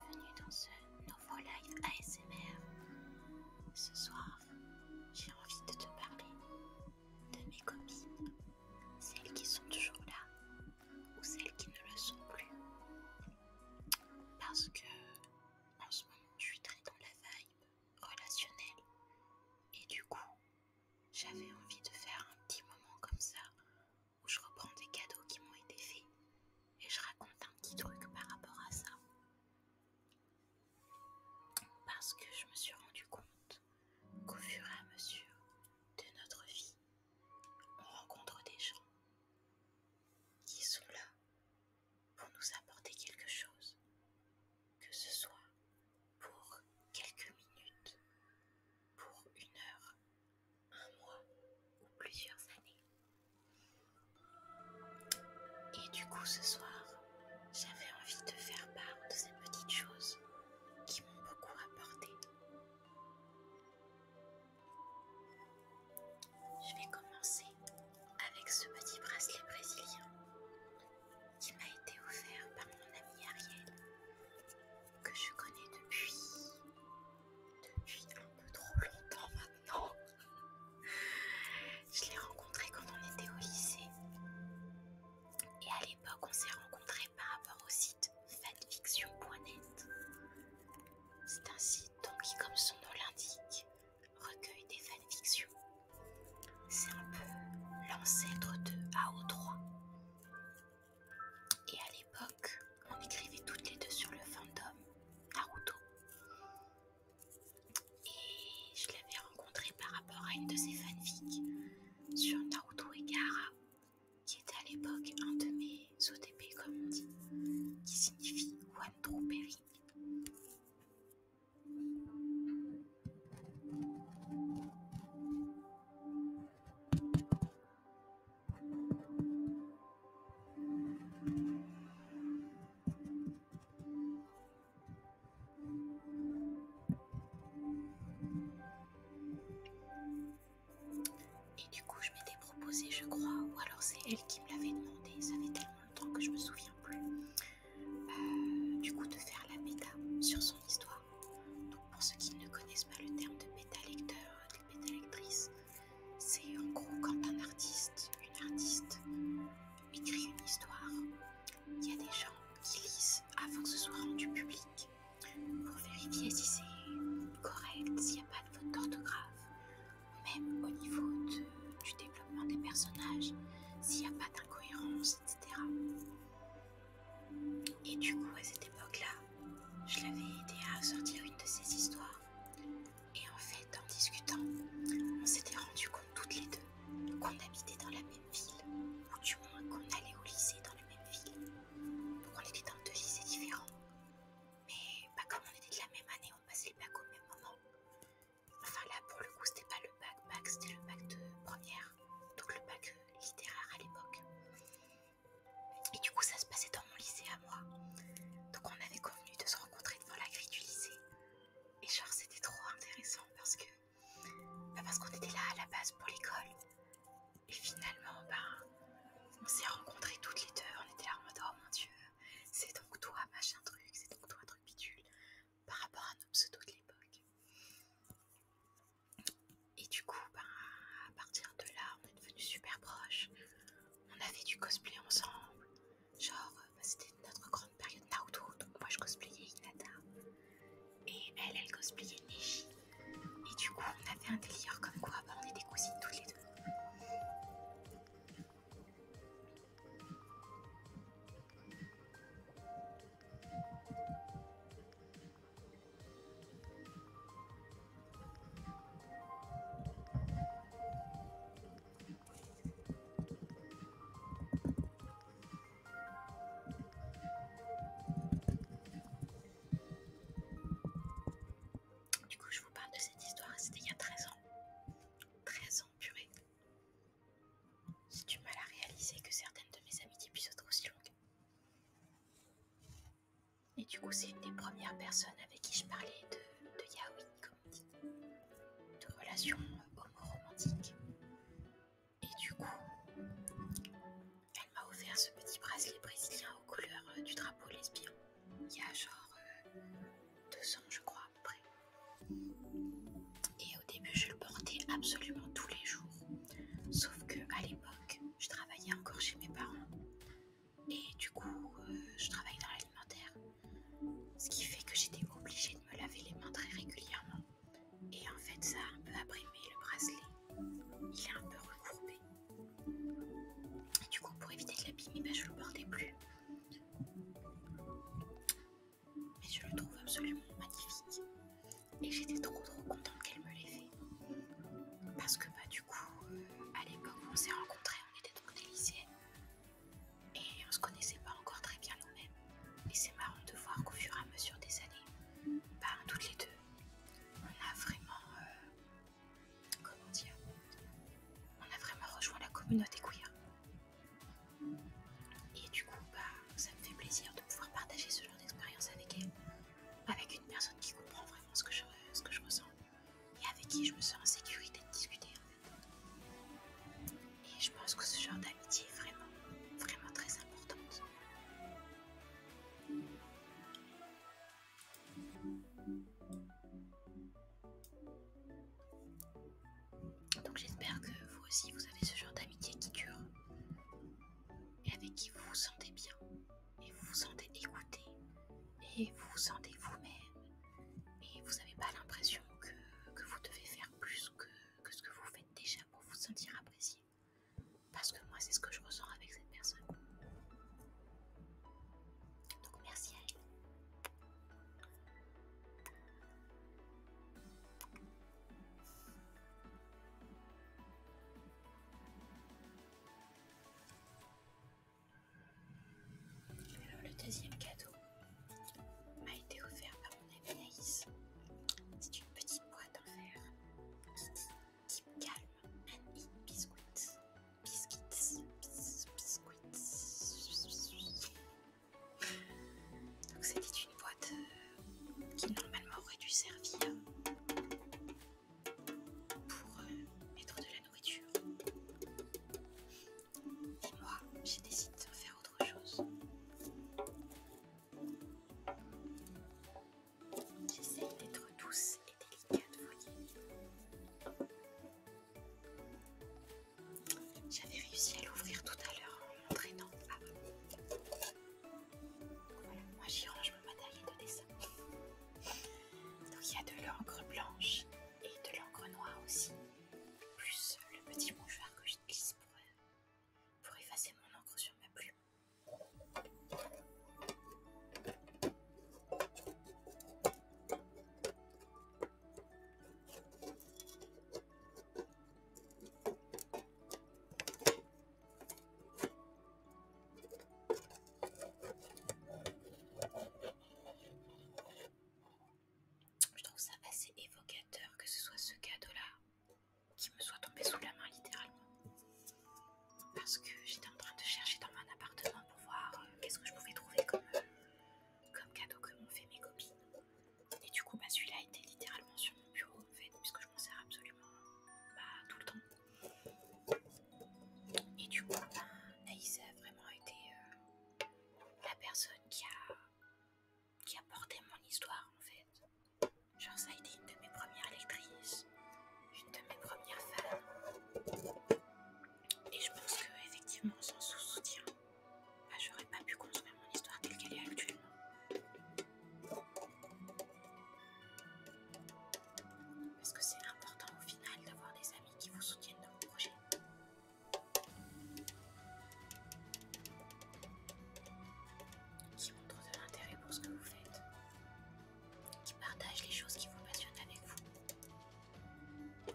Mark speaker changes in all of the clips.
Speaker 1: bienvenue dans ce nouveau live ASMR. Ce soir, j'ai envie de te parler de mes copines, celles qui sont toujours là ou celles qui ne le sont plus. Parce que en ce moment, je suis très dans la vibe relationnelle et du coup, j'avais envie de faire un petit moment comme ça où je reprends des cadeaux qui m'ont été faits et je raconte un petit truc par rapport à ça. Parce que je me suis rendu compte qu'au fur et à mesure de notre vie, on rencontre des gens qui sont là pour nous apporter quelque chose, que ce soit pour quelques minutes, pour une heure, un mois ou plusieurs années. Et du coup ce soir, j'avais envie de faire part de ces petites choses qui m'ont beaucoup apporté. Je vais commencer avec ce petit bracelet brésilien qui m'a été offert par mon ami Ariel, que je connais depuis depuis un peu trop longtemps maintenant. Je l'ai rencontré quand on était au lycée. Et à l'époque, on s'est rencontrés par rapport au site fanfiction.net. C'est un site donc, qui, comme son nom l'indique, recueille des fanfictions. C'est un peu l'ancêtre de AO3. Et à l'époque, on écrivait toutes les deux sur le fandom Naruto. Et je l'avais rencontré par rapport à une de ses fanfics sur Naruto et qui était à l'époque un de mes OTP, comme on dit, qui signifie One True et du coup, je m'étais proposé je crois, ou alors c'est elle qui me l'avait demandé, ça fait tellement de temps que je me souviens plus, euh, du coup, de faire la méta sur son histoire. Donc, pour ceux qui ne connaissent pas le terme de méta lecteur, de méta lectrice, c'est en gros quand un artiste, une artiste, écrit
Speaker 2: une histoire, il y a des gens qui lisent avant que ce soit rendu public pour vérifier si c'est correct, s'il n'y a pas de faute
Speaker 1: d'orthographe, même au niveau du développement des personnages, s'il n'y a pas d'incohérence, etc. Et du coup, à cette époque-là, je l'avais aidé à sortir une de ces histoires. Et en fait, en discutant, on s'était rendu compte toutes les deux qu'on habitait dans la même ville, ou du moins qu'on allait au lycée dans la même ville. Donc on était dans deux lycées différents. Mais pas comme on était de la même année, on passait le bac au même moment. Enfin là, pour le coup, c'était pas le bac bac, c'était le bac de première, donc le bac littéraire à l'époque. Et du coup, ça se passait dans mon lycée à moi. Donc, on avait convenu de se rencontrer devant la grille du lycée. Et genre, c'était trop intéressant parce que. Bah, parce qu'on était là à la base pour l'école. Et finalement, bah, on s'est rencontrés toutes les deux. On était là en mode Oh mon dieu, c'est donc toi, machin truc, c'est donc toi, truc bidule. Par rapport à nos pseudos de l'époque. Et du coup, bah, à partir de là, on est devenus super proches on avait du cosplay ensemble. Genre, euh, bah, c'était notre grande période Naruto, donc moi je cosplayais Hinata. Et elle, elle cosplayait Neji. Et du coup, on avait un délire comme quoi bah, on était cousines toutes les deux. Du coup, je vous parle de cette histoire, c'était il y a 13 ans. 13 ans, purée. Si du mal à réaliser que certaines de mes amitiés puissent être aussi longues. Et du coup, c'est une des premières personnes avec qui je parlais de, de comme dit, de relations
Speaker 2: euh, homo-romantiques.
Speaker 1: Et du coup, elle m'a offert ce petit bracelet brésilien aux couleurs euh, du drapeau lesbien. Il y a genre euh, deux ans, je crois, à près. Et au début, je le portais absolument tous les jours. Sauf que à l'époque, je travaillais encore chez mes parents. Et du coup, euh, je travaille dans l'alimentaire. Ce qui fait que j'étais obligée de me laver les mains très régulièrement. Et en fait, ça a un peu abîmé le bracelet. Il est un peu recourbé. Et du coup, pour éviter de l'abîmer, je eh ben, je le portais plus. Mais je le trouve absolument magnifique. Et j'étais trop trop contente qu'elle me l'ait fait. Parce que bah, du coup, euh, à l'époque où on s'est rencontrés, on était dans des lycéennes. Et on se connaissait pas encore très bien nous-mêmes. Et c'est marrant de voir qu'au fur et à mesure des années, bah, toutes les deux, on a vraiment, euh, comment dire, on a vraiment rejoint la communauté queer. Et du coup, bah, ça me fait plaisir de pouvoir partager ce genre d'expérience avec elle, avec une personne qui comprend vraiment ce que je ressens et avec qui je me sens en sécurité de discuter en fait. Et je pense que ce genre d'amitié est vraiment,
Speaker 2: vraiment très importante.
Speaker 1: Donc j'espère que vous aussi vous avez ce genre d'amitié qui dure et avec qui vous vous sentez bien et vous vous sentez écouté et vous vous sentez vous-même et vous n'avez pas l'impression que, vous devez faire plus que, que, ce que vous faites déjà pour vous sentir apprécié. Parce que moi, c'est ce que je ressens avec cette
Speaker 2: personne. Donc merci à elle
Speaker 1: le deuxième cadeau m'a été offert par mon ami Naïs. C'est une petite boîte en fer qui dit Keep calm and eat biscuits. Biscuits. biscuits. Donc c'était une boîte euh, qui normalement aurait dû servir pour euh, mettre de la et moi, j'ai décidé de faire autre chose. J'essaye d'être douce et délicate, vous voyez. J'avais réussi à l'ouvrir tout à l'heure en m'entraînant. Ah bah. moi j'y range mon matériel de dessin. Donc il y a de l'encre blanche et de l'encre noire aussi, plus le petit mouchoir que j'utilise pour, euh, pour effacer mon encre sur ma plume. Je trouve ça assez évocateur que ce soit ce cadeau-là qui me soit tombé sous la main littéralement. Parce que j'étais en train de chercher dans mon appartement pour voir euh, qu'est-ce que je pouvais trouver comme, euh, comme cadeau que m'ont fait mes copines. Et du coup, bah, celui-là était littéralement sur mon bureau en fait, puisque je m'en sers absolument tout le temps. Et du coup, ça bah, a vraiment été euh, la personne qui a, qui a porté mon histoire en fait. Genre ça a été une de mes premières lectrices, une de mes premières fans.
Speaker 2: Et je pense que sans son soutien, bah, j'aurais pas pu construire mon histoire telle qu'elle est actuellement.
Speaker 1: Parce que c'est important au final d'avoir des amis qui vous soutiennent dans vos projets qui montre de l'intérêt pour ce que vous faites, qui partagent les choses qui vous passionnent avec vous.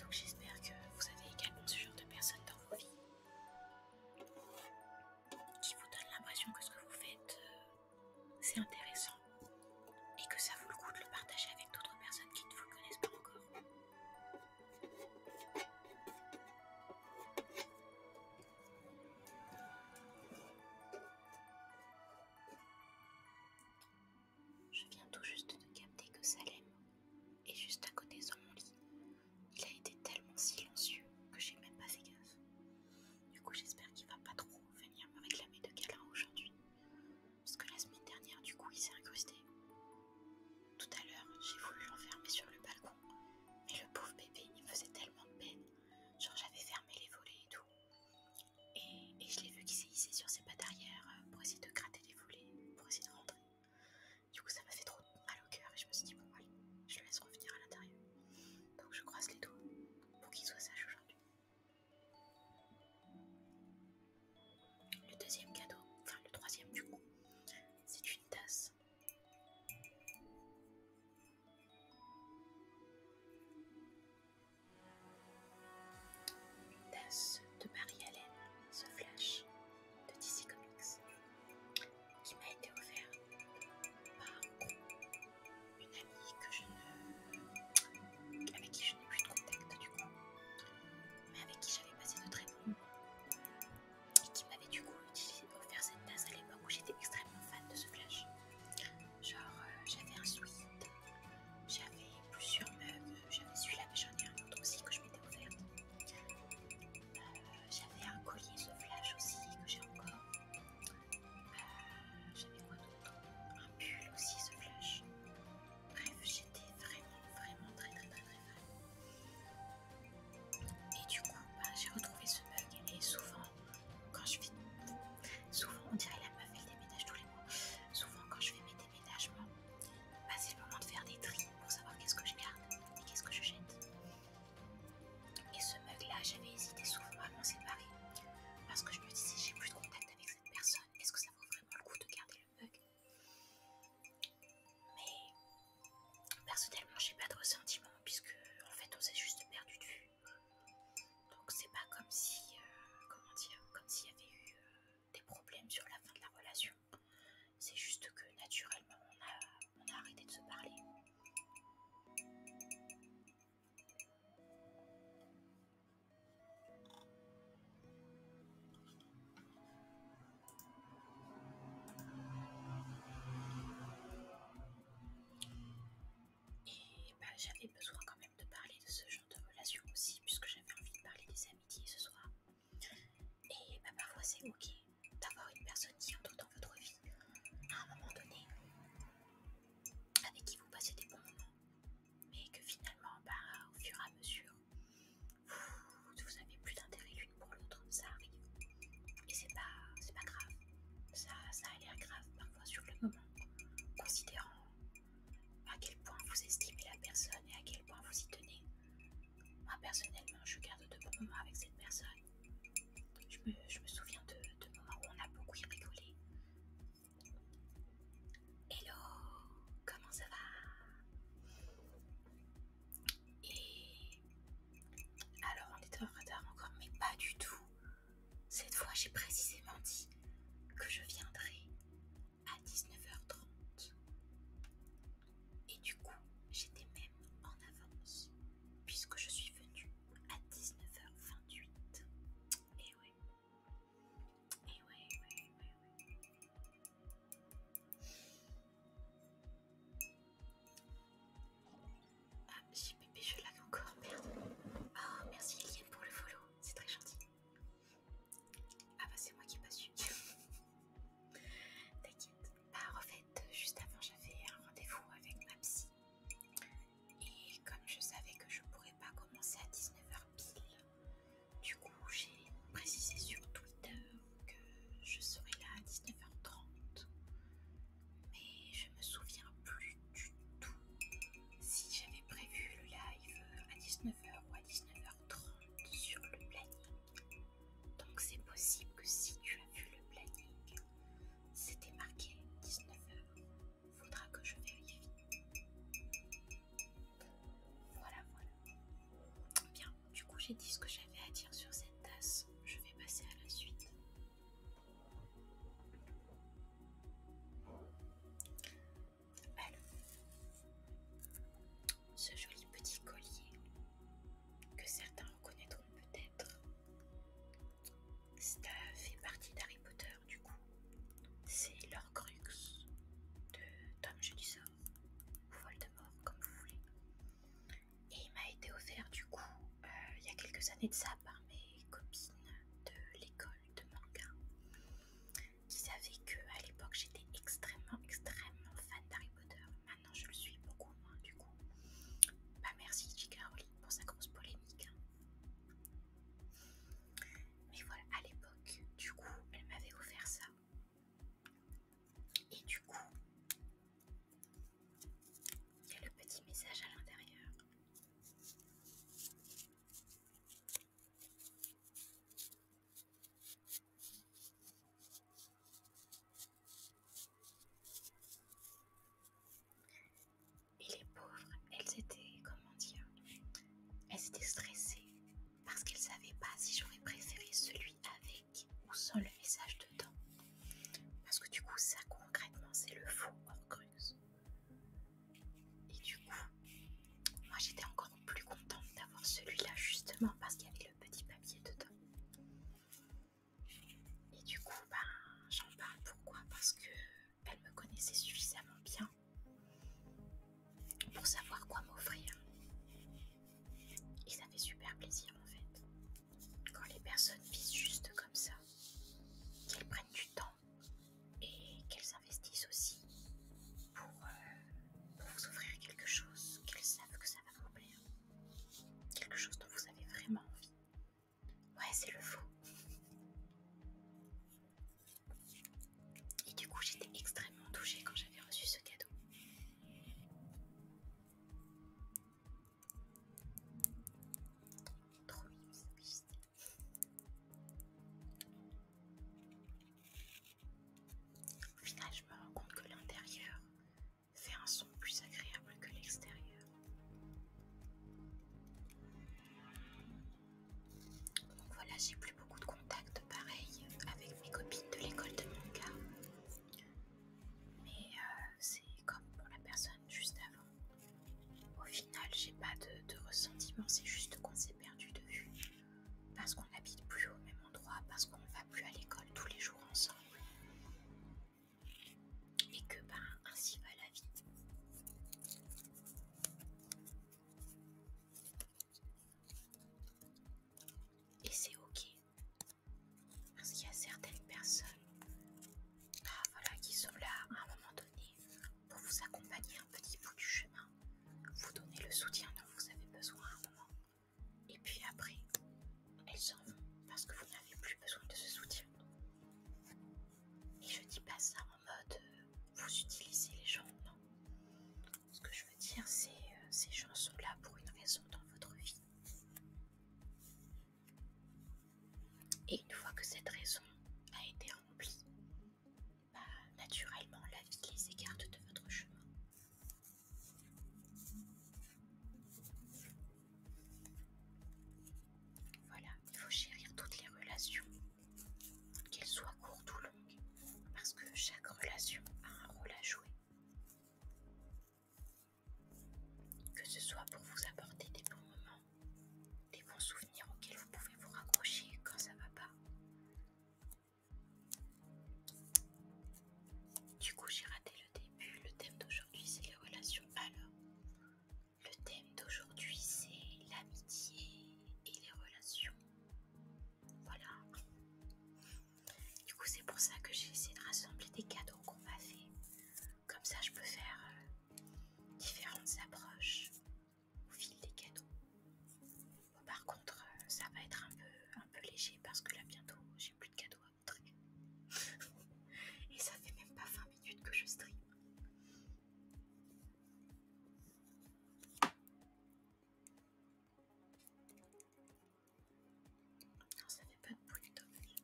Speaker 1: Donc j'espère que vous avez également ce genre de personnes dans vos vies qui vous donne l'impression que ce que vous faites, euh, c'est intéressant et que ça vaut le coup de le partager avec d'autres personnes qui ne vous connaissent pas encore. Je viens tout juste de capter que Salem est juste à côté de mon lit il a été tellement silencieux que j'ai même pas fait gaffe. Du coup, j'espère qu'il va pas trop venir me réclamer de câlin aujourd'hui. Parce que la semaine dernière, du coup, il s'est incrusté. Tout à l'heure, j'ai voulu l'enfermer sur le balcon. Mais le pauvre bébé, il faisait tellement de peine. Genre, j'avais fermé les volets et tout. Et, je l'ai vu qui s'est hissé sur ses pattes arrière euh, pour essayer de gratter les volets, pour essayer de rentrer. Du coup, ça m'a fait trop mal au cœur et je me suis dit, bon, allez, je le laisse revenir à l'intérieur. Donc je croise les doigts pour qu'il soient sage aujourd'hui. Le deuxième cadeau, enfin le troisième du coup, c'est une tasse. Une tasse de Marie-Hélène, ce flash de DC Comics qui m'a été offert par une amie avec qui je n'ai plus de contact du coup, mais avec qui j'avais passé de très bons et qui m'avait du coup utilisé, offert cette tasse à l'époque où j'étais extrêmement fan de ce flash. Genre euh, j'avais un sweat, j'avais plusieurs meubles, j'avais celui-là mais j'en ai un autre aussi que je m'étais offerte. Euh, j'avais un collier flash aussi que j'ai encore. Euh, j'avais quoi d'autre Un pull aussi flash. Bref, j'étais vraiment, vraiment très, très, très, très Et du coup, bah, j'ai retrouvé ce bug. Et souvent, quand je fais. Souvent, on dirait la meuf, elle déménage tous les mois. Souvent, quand je fais mes déménagements, bah, c'est le moment de faire des tri pour savoir qu'est-ce que je garde et qu'est-ce que je jette. Et ce mug-là, j'avais hésité souvent à m'en séparer parce que je me disais, j'ai plus de contact avec cette personne. Est-ce que ça vaut vraiment le coup de garder le mug Mais personnellement, j'ai pas de ressentiment puisque en fait, on s'est juste perdu de vue. Donc c'est pas comme si, euh, comment comme s'il y avait eu euh, des problèmes sur la fin de la relation. C'est juste que naturellement, on a arrêté de se parler. Et bah, j'avais besoin quand même de parler de ce genre de relation aussi, puisque j'avais envie de parler des amitiés ce soir. Et bah, parfois c'est ok d'avoir une personne qui entre dans votre vie à un moment donné, avec qui vous passez des bons moments, mais que finalement, bah, au fur et à mesure, vous, n'avez avez plus d'intérêt l'une pour l'autre, ça arrive. Et c'est pas, c'est pas grave. Ça, ça a l'air grave parfois sur le moment, considérant à quel point vous estimez la personne et à quel point vous y tenez. Moi personnellement, je garde de bons moments avec cette personne. Je me, souviens de, de moments où on a beaucoup rigolé. Hello, comment ça va Et alors on était en retard encore, mais pas du tout. Cette fois j'ai précisément dit que je viendrai à 19h30. Et du coup, j'étais même en avance puisque je suis venue à 19h28. Et eh ouais. Et eh ouais, ouais, ouais, Ah, j'ai bébé, je l'avais encore, merde. Oh, merci Eliane pour le follow, c'est très gentil. Ah bah c'est moi qui ai pas su. T'inquiète. Bah en fait, juste avant j'avais un rendez-vous avec ma psy et comme je savais que je ne pourrais pas commencer à 19h pile, du coup j'ai précisé sur Twitter que je serais là à 19h30. Mais je me souviens plus du tout si j'avais prévu le live à 19h ou à 19h30 sur le planning. Donc c'est possible que si tu as vu le planning, c'était marqué 19h. Faudra que je vérifie. Voilà, voilà. Bien, du coup j'ai dit ce que j'avais à dire sur cette tasse. Je vais passer à la suite. ce joli petit collier que certains reconnaîtront peut-être ça fait partie d'Harry Potter du coup. C'est leur crux de Tom Jedusor ou Voldemort comme vous voulez. Et il m'a été offert du coup euh, il y a quelques années de ça par mes copines de l'école de manga qui savaient que à l'époque j'étais extrêmement extrêmement fan d'Harry Potter. Maintenant je le suis beaucoup moins du coup. Bah merci Chikaro pour sa grosse polémique. Hein. Mais voilà, à l'époque, du coup, elle m'avait offert ça. Et du coup, il y a le petit message à l'intérieur. Et les pauvres, elles étaient, comment dire, elles étaient stressées parce qu'elles savaient pas si j'aurais préféré celui avec ou sans le message dedans. Parce que du coup, ça concrètement, c'est le faux Orcrux. Et du coup, moi j'étais encore plus contente d'avoir celui-là justement parce qu'il y avait le petit papier dedans. Et du coup, ben, j'en parle. Pourquoi Parce que me connaissait suffisamment bien pour savoir quoi m'offrir. Et ça fait super plaisir en fait. Quand les personnes visent juste comme ça, qu'elles prennent du temps et qu'elles investissent aussi pour euh, vous offrir quelque chose qu'elles savent que ça va vous plaire. Quelque chose dont vous avez vraiment envie. Ouais, c'est le faux. Et du coup, j'étais extrêmement touchée quand j'avais reçu ce cadeau. Trop Au final, je me rends compte que l'intérieur fait un son plus agréable que l'extérieur. Donc voilà, j'ai plus beaucoup de contacts pareil avec mes copines de l'école de cas, Mais euh, c'est comme pour la personne juste avant. Au final, j'ai pas de, ressentiment, c'est juste qu'on s'est perdu de vue. Parce qu'on habite plus au même endroit, parce qu'on va plus à l'école tous les jours ensemble et que ben ainsi va la vie. Et c'est ok. Parce qu'il y a certaines personnes ah, qui sont là à un moment donné pour vous accompagner un petit bout du chemin, vous donner le soutien dont vous avez besoin à un moment. Et puis après, elles s'en vont parce que vous n'avez plus besoin de ce soutien. Et je dis pas ça en mode euh, vous utilisez les gens, Ce que je veux dire, c'est euh, ces gens sont là pour une raison dans votre vie. Et une fois que cette raison a été remplie, bah, naturellement la vie les écarte de votre chemin. Voilà, il faut chérir toutes les relations, qu'elles soient courtes ou longues, parce que chaque relation a un rôle à jouer. Que ce soit pour vous apporter des bons moments, des bons souvenirs auxquels vous pouvez vous raccrocher quand ça va pas. Du coup, j'ai raté le début. Le thème d'aujourd'hui, c'est les relations. Alors, le thème d'aujourd'hui, c'est l'amitié et les relations. Voilà. Du coup, c'est pour ça que j'ai essayé de rassembler des cadeaux qu'on m'a fait. Comme ça, je peux faire euh, différentes approches au fil des cadeaux. par contre, euh, ça va être un peu, un peu léger parce que là, bientôt, j'ai plus de cadeaux à montrer. et ça fait même pas 20 minutes que je stream. Non,
Speaker 2: ça fait pas de bruit, dommage.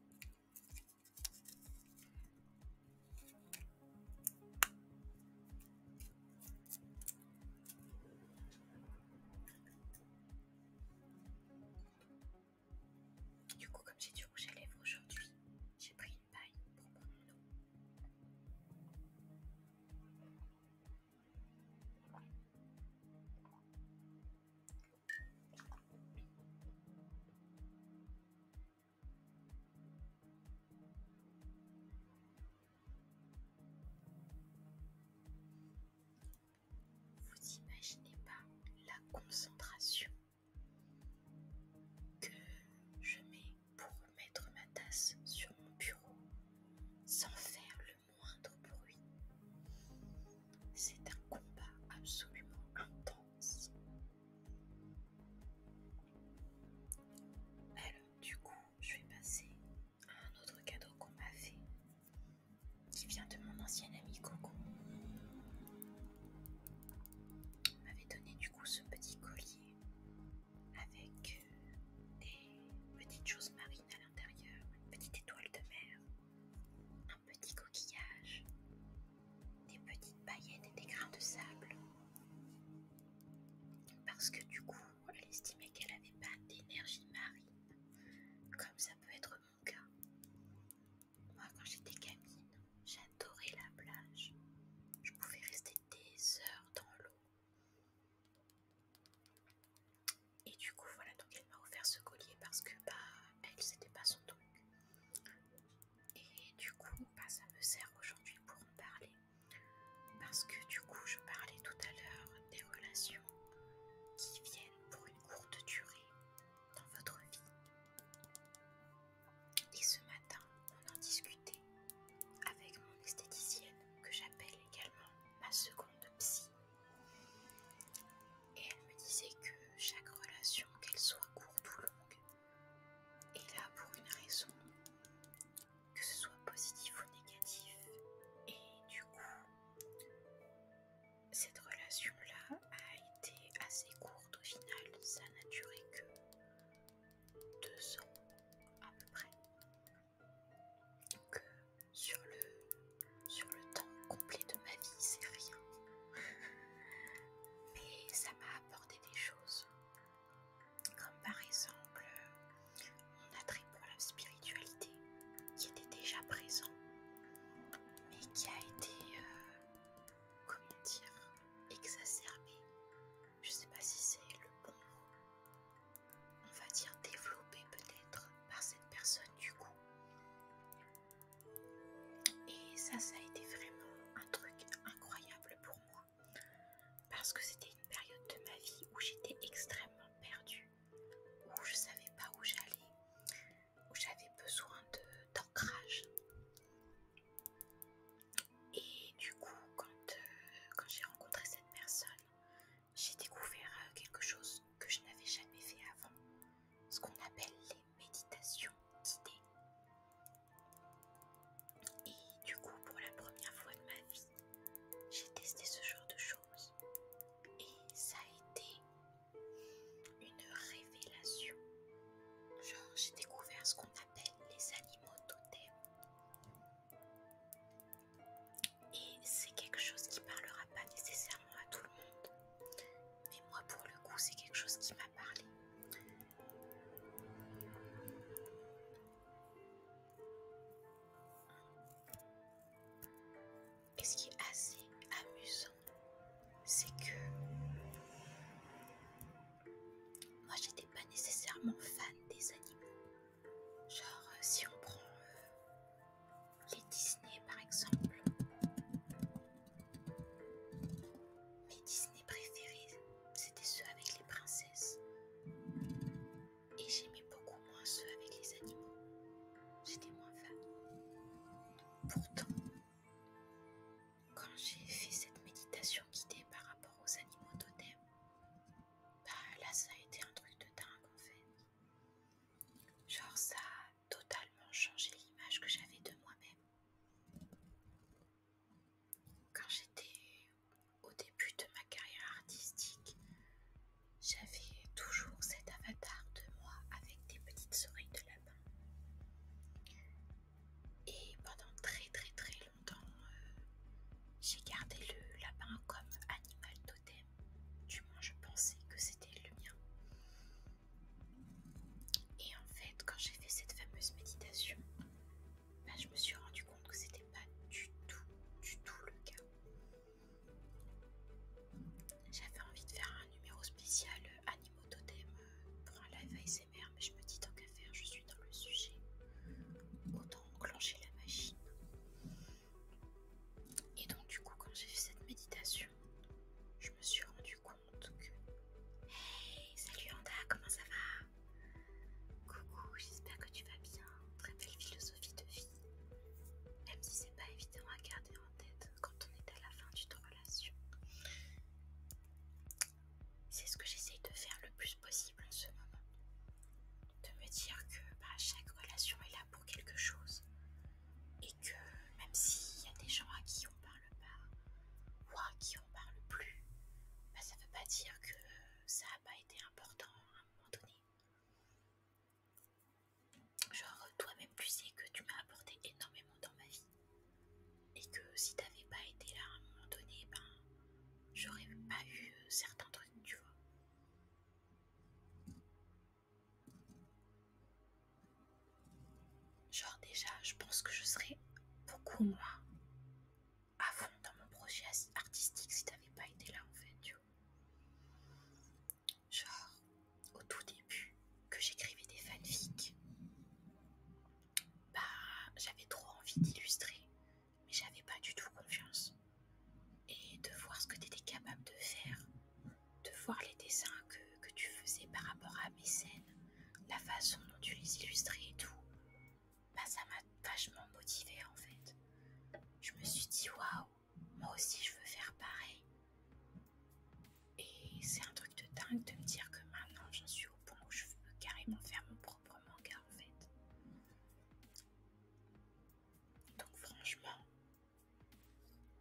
Speaker 1: Du coup, comme j'ai du rouge à lèvres
Speaker 2: aujourd'hui, j'ai pris une paille pour mon l'eau.
Speaker 1: Vous imaginez pas la concentration que je mets pour mettre ma tasse sur mon bureau sans faire le moindre bruit. C'est un combat absolument intense. Alors du coup, je vais passer à un autre cadeau qu'on m'a fait qui vient de mon ancien ami Coco. Elle m'avait donné du coup ce petit collier avec euh, des petites choses marines à l'intérieur, une petite étoile de mer, un petit coquillage, des petites paillettes et des grains de sable. Parce que du coup, elle estimait qu'elle n'avait pas d'énergie marine, comme ça peut être mon cas. Moi, quand j'étais gamine, j'adorais la plage. Je pouvais rester des heures dans l'eau. Et du coup, voilà, donc elle m'a offert ce collier parce que, bah, elle, c'était pas son truc. Et du coup, bah, ça me sert aujourd'hui pour en parler. Parce que, du coup, je parlais tout à l'heure des relations qui viennent pour une courte durée dans votre vie. Et ce matin, on en discutait avec mon esthéticienne, que j'appelle également ma seconde psy. Et elle me disait que chaque relation, qu'elle soit courte ou longue, est là pour une raison, que ce soit positif ou négatif.
Speaker 2: Et du coup,
Speaker 1: cette relation-là a été assez courte au final, ça n'a duré que deux ans à peu près. Donc euh, sur le, sur le temps complet de ma vie, c'est rien. Mais ça m'a apporté des choses. Comme par exemple mon attrait pour la spiritualité qui était déjà présent mais qui a été euh, comment dire, exacerbé, je sais pas si c'est le bon mot, on va dire développé peut-être par cette personne du coup. Et ça, ça a été vraiment un truc incroyable pour moi, parce que c'était une période de ma vie où j'étais extrêmement perdue, où je savais pas où j'allais, où j'avais besoin d'ancrage. Et du coup, euh, quand, j'ai rencontré cette personne, j'ai découvert euh, quelque chose que je n'avais jamais fait avant, ce qu'on appelle les méditations guidées. Et du coup, pour la première fois de ma vie, j'ai testé ce genre de choses. Et ça a été une révélation. Genre, j'ai découvert ce qu'on appelle les animaux totems. Et c'est quelque chose qui parlera pas nécessairement à tout le monde. Mais moi, pour le coup, c'est quelque chose qui m'a parlé. Et ce qui est assez amusant, c'est que moi j'étais pas nécessairement fan des animaux. Genre euh, si on prend euh, les Disney par exemple. Mes Disney préférés, c'était ceux avec les princesses. Et j'aimais beaucoup moins ceux avec les animaux. J'étais moins fan. Pourtant, quand j'ai fait cette méditation guidée par rapport aux animaux totems, bah là ça a été un truc de dingue en fait. Genre ça a totalement changé l'image que j'avais de moi-même. Quand j'étais au début de ma carrière artistique, j'avais toujours cet avatar de moi avec des petites oreilles de lapin. Et pendant très très très longtemps, euh, j'ai gardé le lapin comme animal totem. Du moins, je pensais que c'était le mien. Et en fait, quand j'ai fait cette fameuse méditation, bah, je me suis rendu compte que c'était pas du tout, du tout le cas. J'avais envie de faire un numéro spécial animaux totem euh, pour un live mais je me dis tant qu'à faire, je suis dans le sujet. Autant enclencher la machine. Et donc du coup, quand j'ai fait cette méditation, je me suis rendu compte que... Hey, salut Anda, comment ça va Coucou, j'espère que tu vas bien. Très belle philosophie de vie. Même si c'est pas évident à garder en tête quand on est à la fin d'une relation. C'est ce que j'essaye de faire le plus possible en ce moment. De me dire que bah, chaque relation est là pour quelque chose. Et que même s'il y a des gens à qui on parle pas, ou à qui on parle plus, bah, ça veut pas dire que ça n'a pas été important à un moment donné. Genre, toi-même, tu sais que tu m'as apporté énormément dans ma vie et que si t'avais pas été là à un moment donné, ben j'aurais pas eu euh, certains trucs, tu vois. Genre déjà, je pense que je serais
Speaker 2: beaucoup moins à fond dans mon projet
Speaker 1: artistique si t'avais pas été là en fait, tu vois. Genre, au tout début, que j'écrivais des fanfics, bah, j'avais trop envie d'illustrer, mais j'avais pas du tout confiance. Et de voir ce que tu étais capable de faire, de voir les dessins que, que tu faisais par rapport à mes scènes, la façon dont tu les illustrais et tout, bah, ça m'a vachement motivée en fait. Je me suis dit waouh, moi aussi je veux faire pareil. Et c'est un truc de dingue de me dire que maintenant j'en suis je veux carrément faire mon propre manga en fait. Donc franchement,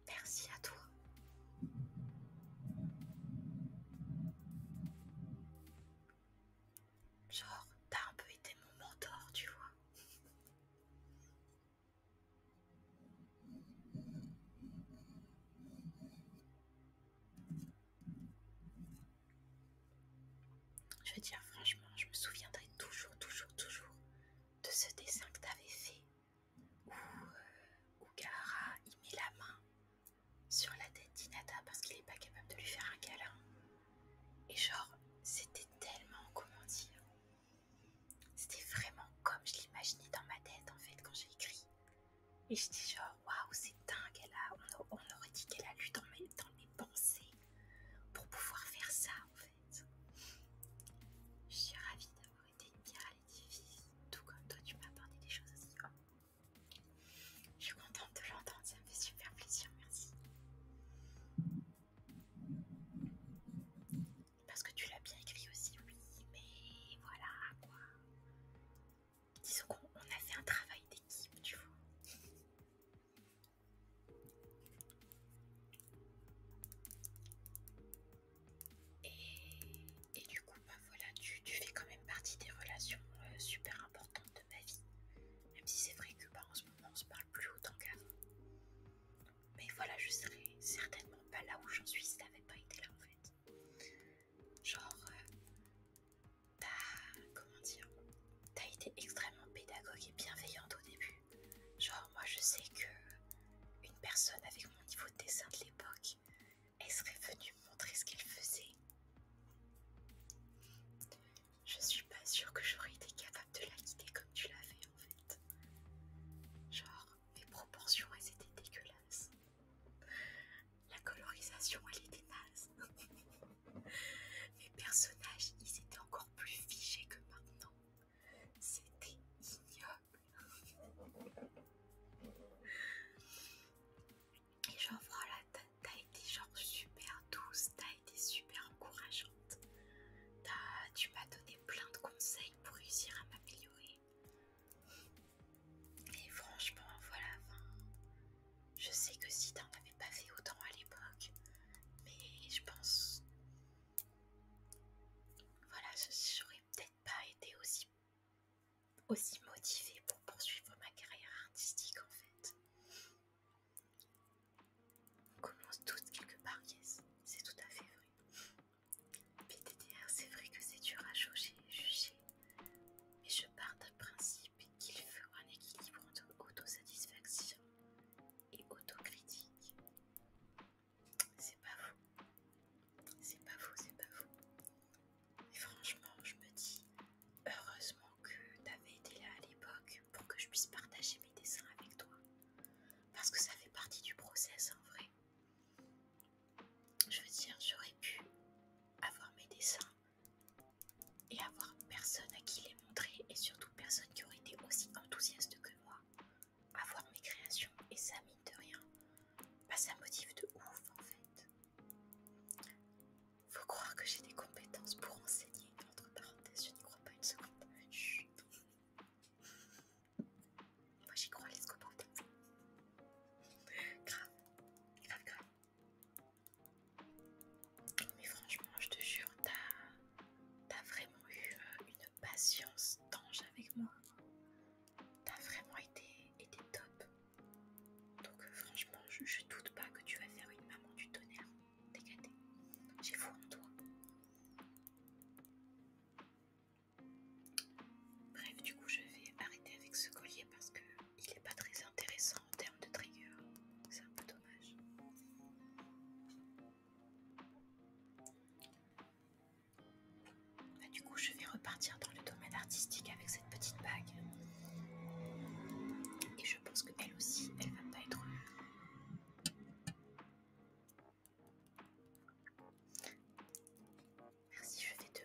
Speaker 1: merci à toi. Genre, t'as un peu été mon mentor, tu vois. Je veux dire, franchement, je me souviendrai toujours, toujours, toujours de ce dessin que t'avais fait où, euh, où il met la main sur la tête d'Inata parce qu'il est pas capable de lui faire un câlin. Et genre, c'était tellement, comment dire, c'était vraiment comme je l'imaginais dans ma tête en fait quand j'ai écrit. Et je dis genre, waouh, c'est dingue, on, aurait dit qu'elle a lu dans, mes, pensées pour pouvoir faire ça en fait. Je suis ravie d'avoir été une pierre tout comme toi, tu m'as apporté des choses aussi. Oh. Je suis contente de l'entendre, ça me fait super plaisir, merci. Parce que tu l'as bien écrit aussi, oui, mais voilà quoi disons qu'on a fait un travail d'équipe, tu vois. Et, du coup, bah voilà, tu, fais quand même partie des relations euh, super importantes de ma vie. Même si c'est vrai que bah, en ce moment on se parle plus autant qu'avant. Mais voilà, je serais certainement pas là où j'en suis si n'avais pas été là en fait genre euh, t'as comment dire t'as été extrêmement pédagogue et bienveillante au début genre moi je sais que une personne avec mon niveau de dessin de l'époque elle serait venue me montrer ce qu'elle faisait je suis pas sûre que j'aurais été capable de la guider comme tu l'avais en fait genre mes proportions elles étaient dégueulasses la colorisation, elle était naze. Mes personnages, ils étaient encore plus figés que maintenant. C'était ignoble. Et genre voilà, oh t'as été genre super douce, t'as été super encourageante. tu m'as donné plein de conseils pour réussir à m'améliorer. Et franchement, voilà, je sais que si t'en avais pas fait autant à l'époque, mais je pense, voilà, j'aurais peut-être pas été aussi, aussi motivée pour poursuivre ma carrière artistique en fait. On commence toutes quelque part, yes, c'est tout à fait vrai. PTTR, c'est vrai que c'est dur à juger mais je pars d'un principe qu'il faut un équilibre entre autosatisfaction et autocritique. C'est pas vous, c'est
Speaker 2: pas vous, c'est pas vous.
Speaker 1: Et franchement, je me dis heureusement que t'avais été là à l'époque pour que je puisse partager mes dessins avec toi, parce que ça fait partie du process en vrai. Je veux dire, j'aurais pu avoir mes dessins et avoir personne à qui les montrer et surtout personne qui aurait été aussi enthousiaste que moi. Avoir mes créations et ça mine de rien, bah ça motive de ouf en fait. Faut croire que j'ai des compétences pour enseigner, entre parenthèses, je n'y crois pas une seconde. Moi j'y crois, les go Grave, grave, grave. Mais franchement, je te jure, t'as vraiment eu euh, une patience d'ange avec moi. T'as vraiment été, top. Donc euh, franchement, je, doute pas que tu vas faire une maman du tonnerre. T'es J'ai foi en toi. Bref, du coup, je vais arrêter avec ce collier parce que il n'est pas très intéressant en termes de trigger. C'est un peu dommage. Bah, du coup, je vais repartir dans le domaine artistique avec cette petite bague. Et je pense qu'elle aussi, elle va pas être. Merci, je vais te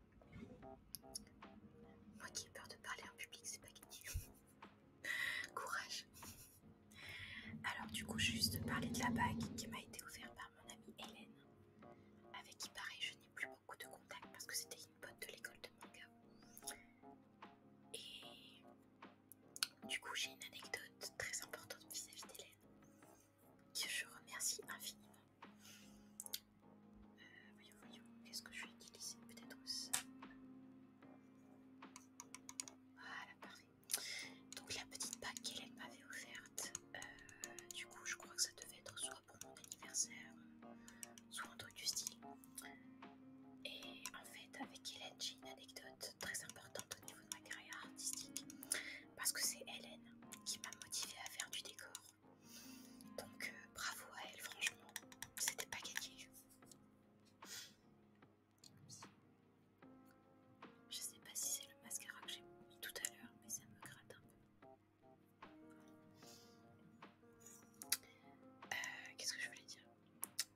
Speaker 2: Moi
Speaker 1: qui ai peur de parler en public, c'est pas gagné. Courage. Alors du coup, juste parler de la bague qui m'a été offerte par mon amie Hélène, avec qui pareil, je n'ai plus beaucoup de contact parce que c'était une pote de l'école de manga. Et du coup, j'ai une anecdote très importante vis-à-vis d'Hélène, que je remercie infiniment voyons, voyons, qu'est-ce que je vais utiliser Peut-être ça. Voilà, parfait. Donc la petite bague qu'Hélène m'avait offerte, euh, du coup je crois que ça devait être soit pour mon anniversaire, soit un truc du style. Et en fait avec Hélène j'ai une anecdote très importante au niveau de ma carrière artistique, parce que c'est Hélène qui m'a motivée à faire du décor. Donc euh, bravo à elle, franchement, c'était pas gagné. Je sais pas si c'est le mascara que j'ai mis tout à l'heure, mais ça me gratte un peu. Euh, qu'est-ce que je voulais dire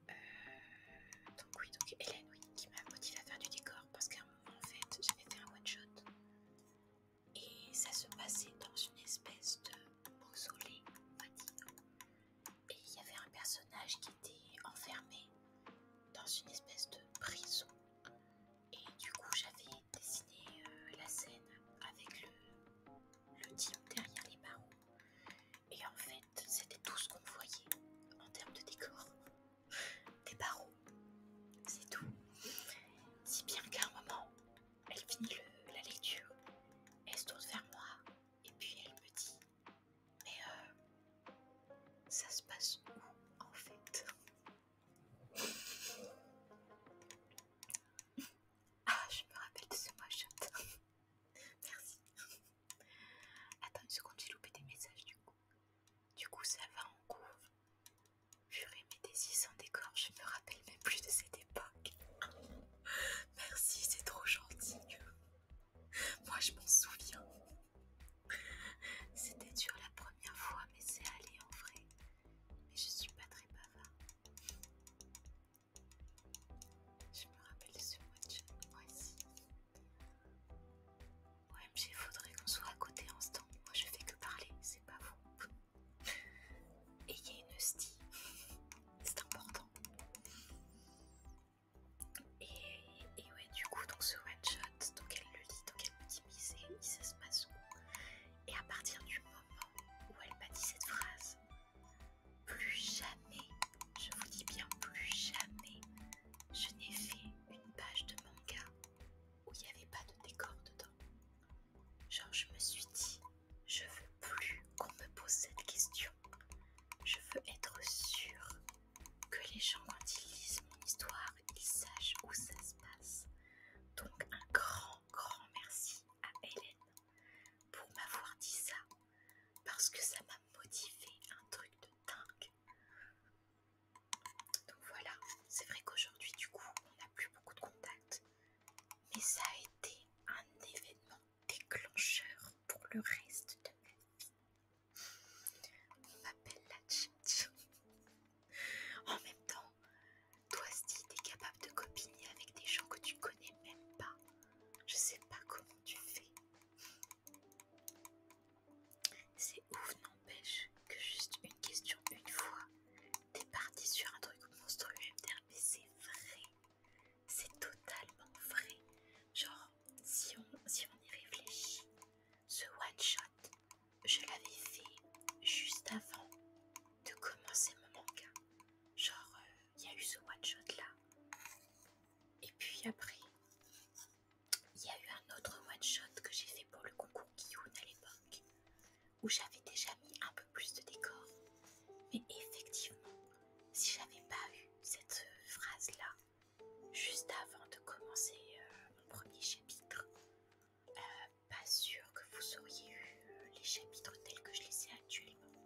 Speaker 1: euh, Donc oui, donc Hélène oui, qui m'a motivé à faire du décor parce qu'à un moment en fait j'avais fait un one shot et ça se passait dans une espèce de mausolée, on Et il y avait un personnage qui était enfermé dans une espèce de prison. Et du coup, j'avais dessiné euh, la scène avec le, le derrière les barreaux. Et en fait, c'était tout ce qu'on voyait en termes de décor. Des barreaux, c'est tout. Si bien qu'à un moment, elle finit le, la lecture, elle se tourne vers moi et puis elle me dit Mais euh, ça se passe où en fait Ah, je me rappelle de ce mois Merci. Attends une seconde, j'ai loupé des messages du coup. Du coup, ça va en cours. J'aurais aimé des six en décor, je me rappelle même plus de cette époque. Merci, c'est trop gentil. Moi, je m'en souviens. C'était dur la première fois, mais c'est allé en vrai. Mais je suis pas très bavard. Je me rappelle ce match, moi aussi. il faudrait qu'on soit à côté en ce temps, Moi, je fais que parler, c'est pas vous et a une style, c'est important. Et, ouais, du coup, donc ce one shot, donc elle le lit, donc elle me dit mais se passe où Et à partir du moment où elle m'a dit cette phrase, plus jamais, je vous dis bien plus jamais, je n'ai fait une page de manga où il n'y avait pas de décor dedans. Genre, je me suis dit, je veux plus qu'on me pose cette question. Je veux être sûre que les gens, quand ils lisent mon histoire, ils sachent où ça se passe. Donc, un grand, grand merci à Hélène pour m'avoir dit ça, parce que ça m'a motivé un truc de dingue. Donc voilà, c'est vrai qu'aujourd'hui, du coup, on n'a plus beaucoup de contacts, mais ça a été un événement déclencheur pour le reste de ma vie. On m'appelle la En même temps, toi, si t'es capable de copiner avec des gens que tu connais même pas, je sais pas comment tu fais. C'est ouf, n'empêche, que juste une question une fois, T'es parti sur un truc monstrueux, mais c'est vrai. C'est totalement vrai. Genre, si on, on y réfléchit, ce one-shot, je l'avais fait juste avant de commencer mon manga. Genre, euh, il y a eu ce one-shot là. Et puis après, il y a eu un autre one-shot que j'ai fait pour le concours on à l'époque où j'avais déjà mis un peu plus de décor. Mais effectivement, si j'avais pas eu cette phrase-là, juste avant de commencer euh, mon premier chapitre, euh, pas sûr que vous auriez eu euh, les chapitres tels que je les ai actuellement.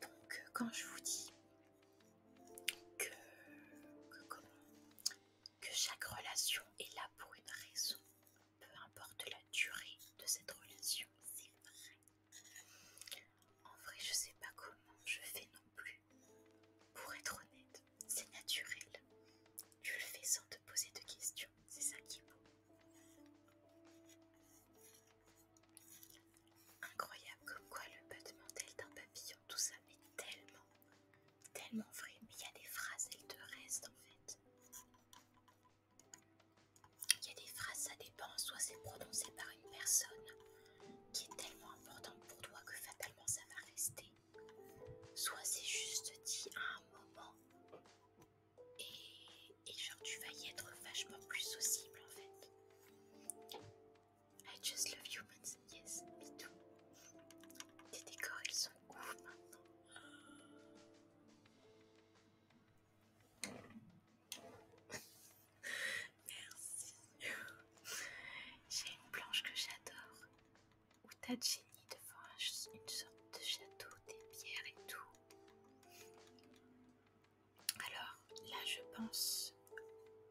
Speaker 1: Donc, quand je vous dis que, que comment que chaque relation est là pour une raison, peu importe la durée de cette relation, c'est vrai. En vrai, je sais pas comment je fais non plus. Pour être honnête, c'est naturel. Tu le fais sans te poser de questions, c'est ça qui est beau. Incroyable comme quoi le de tel d'un papillon, tout ça m'est tellement Tellement vrai, mais il y a des phrases, elles te restent en fait. Il y a des phrases, ça dépend, soit c'est prononcé par une personne qui est tellement importante pour toi que fatalement ça va rester, soit c'est juste dit à un moment et, genre tu vas y être vachement plus sociable en fait. I just love humans, yes, me too. ils sont Merci. J'ai une planche que j'adore. Où t'as génie devant une sorte de château, des pierres et tout. Alors là, je pense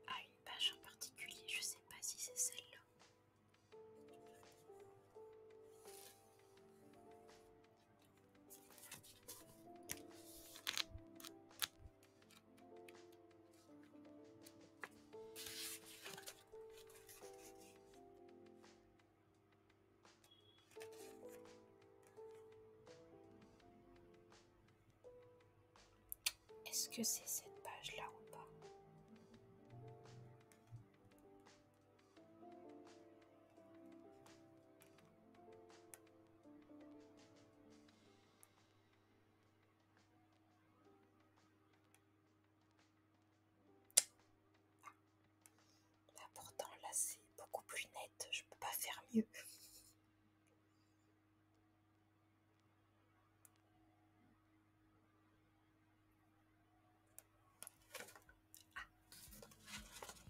Speaker 1: à une page en particulier. Je sais pas si c'est celle-là. Est-ce que c'est cette page-là ou pas pourtant là c'est beaucoup plus net, je peux pas faire mieux.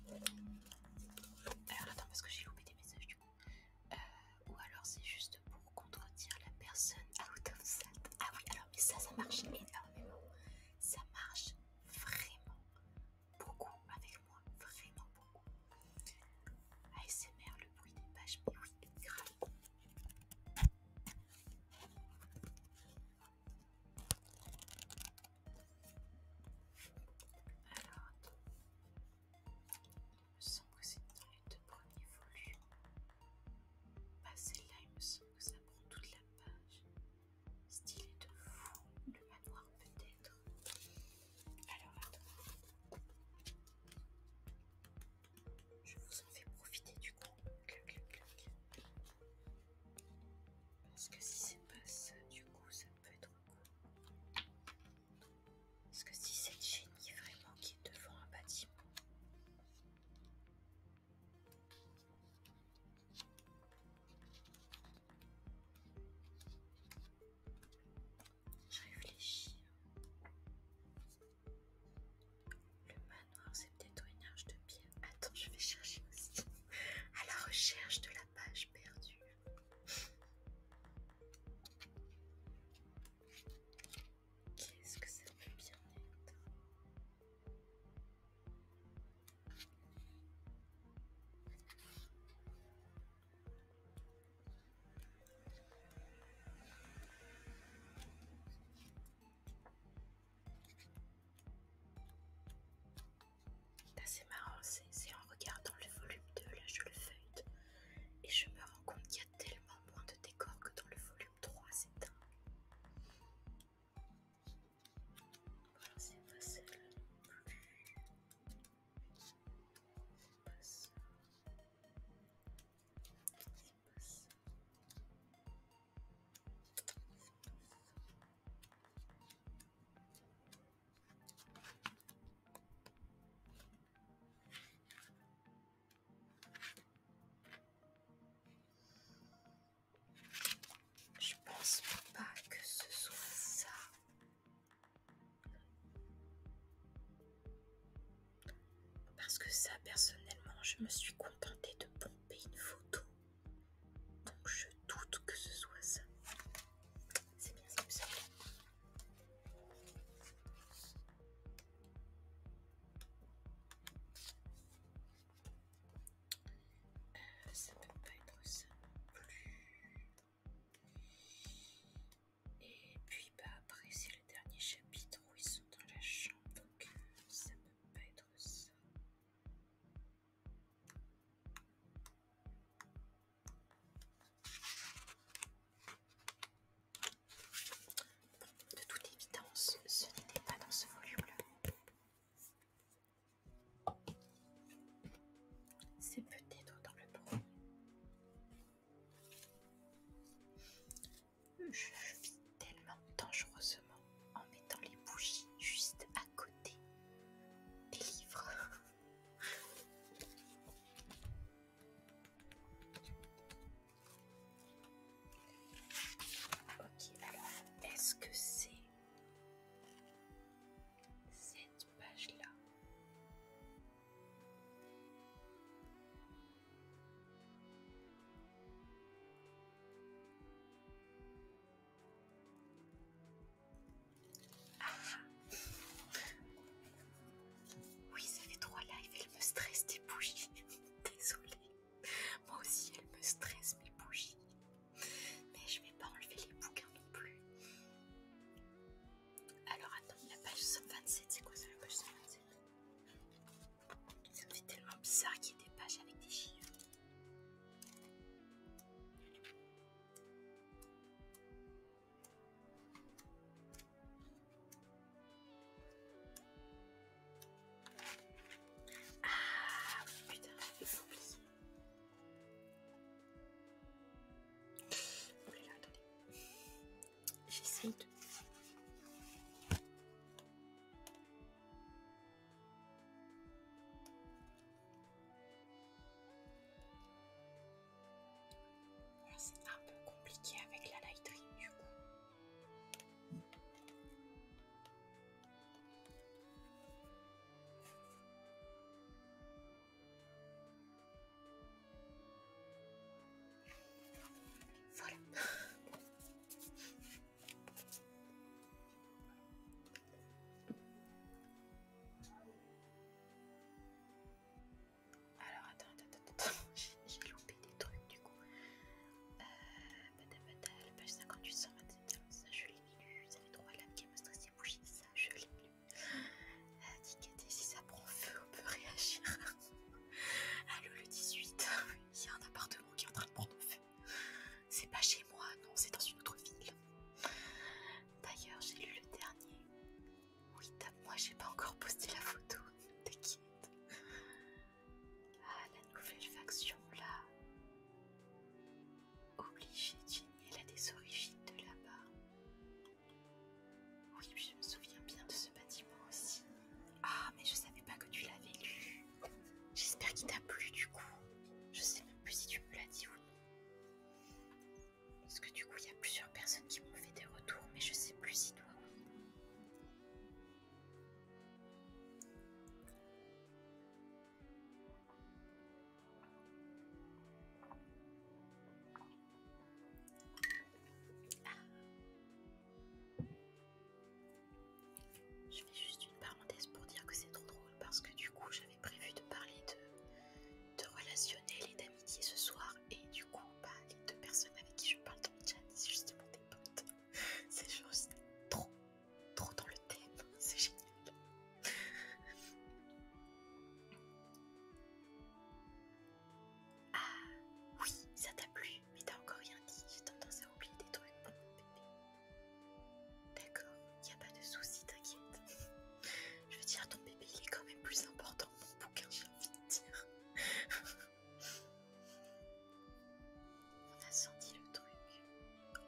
Speaker 1: Ah. Alors attends parce que j'ai loupé des messages du coup. Euh, ou alors c'est juste pour contredire la personne out of sight. Ah oui alors mais ça ça marche énormément. Ça marche vraiment beaucoup avec moi. Vraiment beaucoup. ASMR, le bruit des pages, mais oui, grave. Alors, il me semble que c'est dans les deux premiers volumes. Ah celle-là, il me semble que ça prend toute la page. Style est de fou, le manoir peut-être. Alors, attends. Je vous en fais profiter du coup. Parce que si c'est pas ça, du coup, ça peut être quoi Parce que si c'est le génie vraiment qui est devant un bâtiment. Réfléchir... réfléchis. Le manoir, c'est peut-être une arche de pierre. Attends, je vais chercher aussi. À la recherche de la page
Speaker 2: perdue. Qu'est-ce que ça peut bien être
Speaker 1: c'est marrant, c'est en regardant le volume 2, là je le feuille et je me rends compte qu'il y a tellement moins de décors que dans le volume 3, c'est
Speaker 2: je pense pas que ce soit ça.
Speaker 1: Parce que ça, personnellement, je me suis contentée de pomper une photo donc je doute que ce soit ça. C'est bien ça euh,
Speaker 2: ça peut pas être ça non plus.
Speaker 1: Et puis bah après c'est le dernier chapitre où ils sont dans la chambre, donc ça peut pas être ça. De toute évidence, ce n'était pas dans ce volume-là. C'est peut-être dans le premier tellement dangereusement en mettant les bougies juste à côté des livres. ok, alors est-ce que c'est cette page-là ah. Oui, ça fait trois lives, elle me stresse des bougies. Désolée. Moi aussi, elle me stresse mes bougies. Mais je vais pas enlever les bouquins non plus. Alors attends, la page 27, c'est quoi ça la page 27. C'est tellement bizarre qu'il y ait des pages avec des chiffres.
Speaker 2: Ah putain, j'ai oublié.
Speaker 1: Oh là c'est un peu compliqué avec la laiterie du coup. Alors attends, attends, attends, j'ai loupé des trucs du coup. Euh, la page 58, 127, ça je l'ai Vous Ça droit à lames qui me stressent les ça je l'ai lu. Euh, si ça prend feu, on peut réagir. Allô le 18, il y a un appartement qui est en train de prendre feu. C'est pas chez moi, non, c'est dans une autre ville. D'ailleurs, j'ai lu le dernier. Oui, tape-moi, j'ai pas encore posté la photo, t'inquiète. Ah, la nouvelle faction là. Obligée, Jenny, elle a des origines de là-bas. Oui, je me souviens bien de ce bâtiment aussi. Ah, mais je savais pas que tu l'avais lu. J'espère qu'il t'a plu du coup. Je sais même plus si tu me l'as dit ou non. Parce que du coup, il y a plusieurs personnes qui m'ont fait des retours, mais je sais plus si toi ah. Je fais juste une parenthèse pour dire que c'est trop drôle parce que du coup j'avais prévu de parler de, de relationnel et d'amitié ce soir et du coup bah, les deux personnes avec qui je parle dans le chat c'est justement des potes. C'est juste trop, trop dans le thème, c'est génial. Ah oui, ça t'a plu, mais t'as encore rien dit, j'ai tendance à oublier des trucs pour mon bébé. D'accord, il a pas de souci, t'inquiète. Je veux dire, ton bébé, il est quand même plus important que mon bouquin, j'ai envie de dire. On a senti le truc.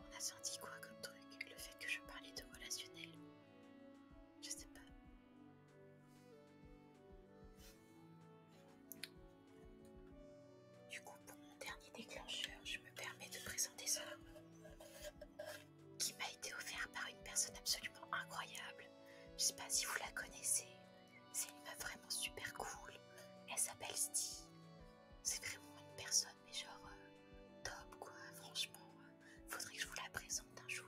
Speaker 1: On a senti quoi comme truc Le fait que je parlais de relationnel Je sais pas. Du coup, pour mon dernier déclencheur, je me permets de présenter ça, qui m'a été offert par une personne absolument incroyable. Je sais pas si vous la connaissez, c'est une meuf vraiment super cool. Elle s'appelle Sti, C'est vraiment une personne, mais genre euh, top quoi, franchement. Euh, faudrait que je vous la présente un jour.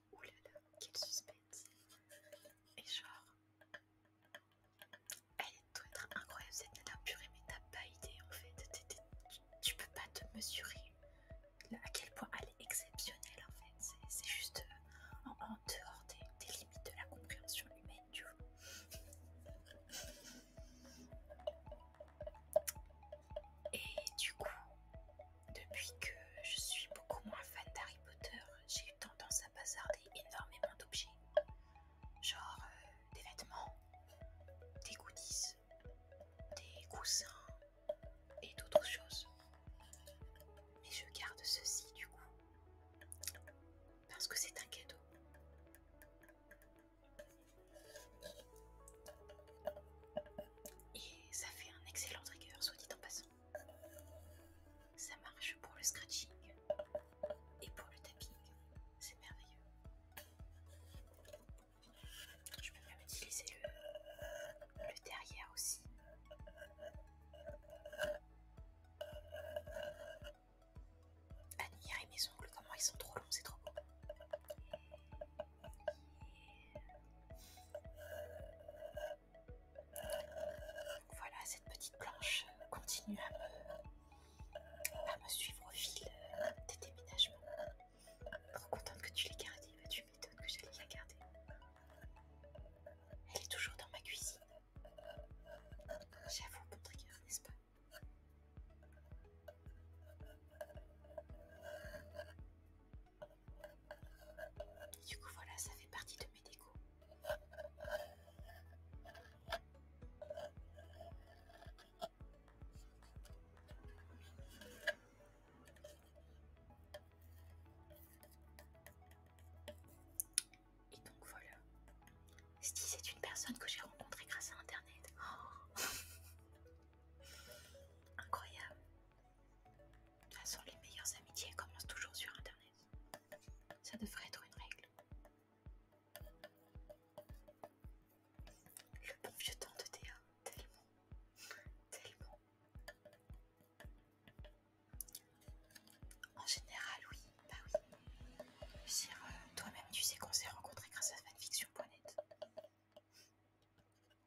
Speaker 1: Oulala, oh quel suspense. Et genre, elle doit être incroyable cette nana purée, mais t'as pas idée en fait. tu, peux pas te mesurer à quel point elle est exceptionnelle en fait. C'est juste euh, en, dehors des, des limites de la compréhension humaine, tu vois. Et du coup, depuis que je suis beaucoup moins fan d'Harry Potter, j'ai eu tendance à bazarder énormément d'objets. Genre euh, des vêtements, des goodies, des coussins et d'autres choses. Mais je garde ceci du coup. Parce que c'est un cadeau. Et ça fait un excellent trigger, soit dit en passant. Ça marche pour le scratching et pour le tapping, c'est merveilleux. Je peux même utiliser le, derrière aussi. et mes ongles, comment ils sont trop longs, c'est trop beau. Voilà, cette petite planche continue à me, suivre au fil des déménagements. Trop contente que tu l'aies gardée, mais tu m'étonnes que j'allais la garder. Elle est toujours dans ma cuisine. J'avoue, bon trigger, n'est-ce pas du coup voilà, ça fait partie de mes décos. Et donc voilà. si c'est une personne que j'ai rencontrée grâce à internet. Oh Incroyable. De toute façon, les meilleures amitiés commencent toujours sur Internet. Ça devrait être une règle. Le bon vieux temps de Théa,
Speaker 2: tellement, tellement. En général, oui, bah
Speaker 1: oui. Euh, toi-même, tu sais qu'on s'est rencontrés grâce à fanfiction.net.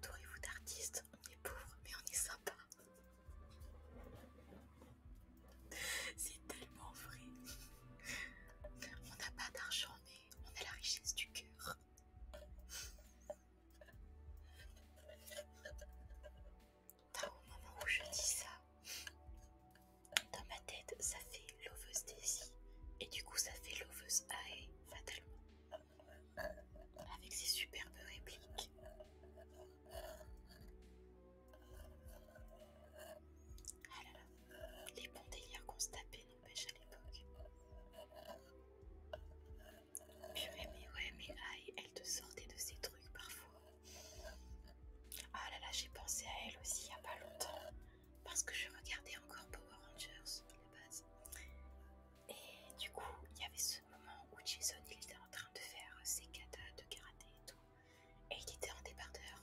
Speaker 1: Entourez-vous d'artistes, on est pauvre mais on est sympa. C'est tellement vrai.
Speaker 2: On n'a pas d'argent mais on a la richesse du cœur au
Speaker 1: moment où je dis ça, dans ma tête, ça fait l'oveuse Daisy, et du coup, ça fait l'oveuse Ae, fatalement, avec ses superbes répliques. Ah les bons délires qu'on se tapait empêche à l'époque. mais mais elle te sortait de ces trucs parfois. Ah là là, j'ai pensé à elle aussi il n'y a pas longtemps. Parce que je regardais encore Power Rangers à la base. Et du coup, il y avait ce moment où Jason il était en train de faire ses katas de karaté et tout. Et il était en débardeur.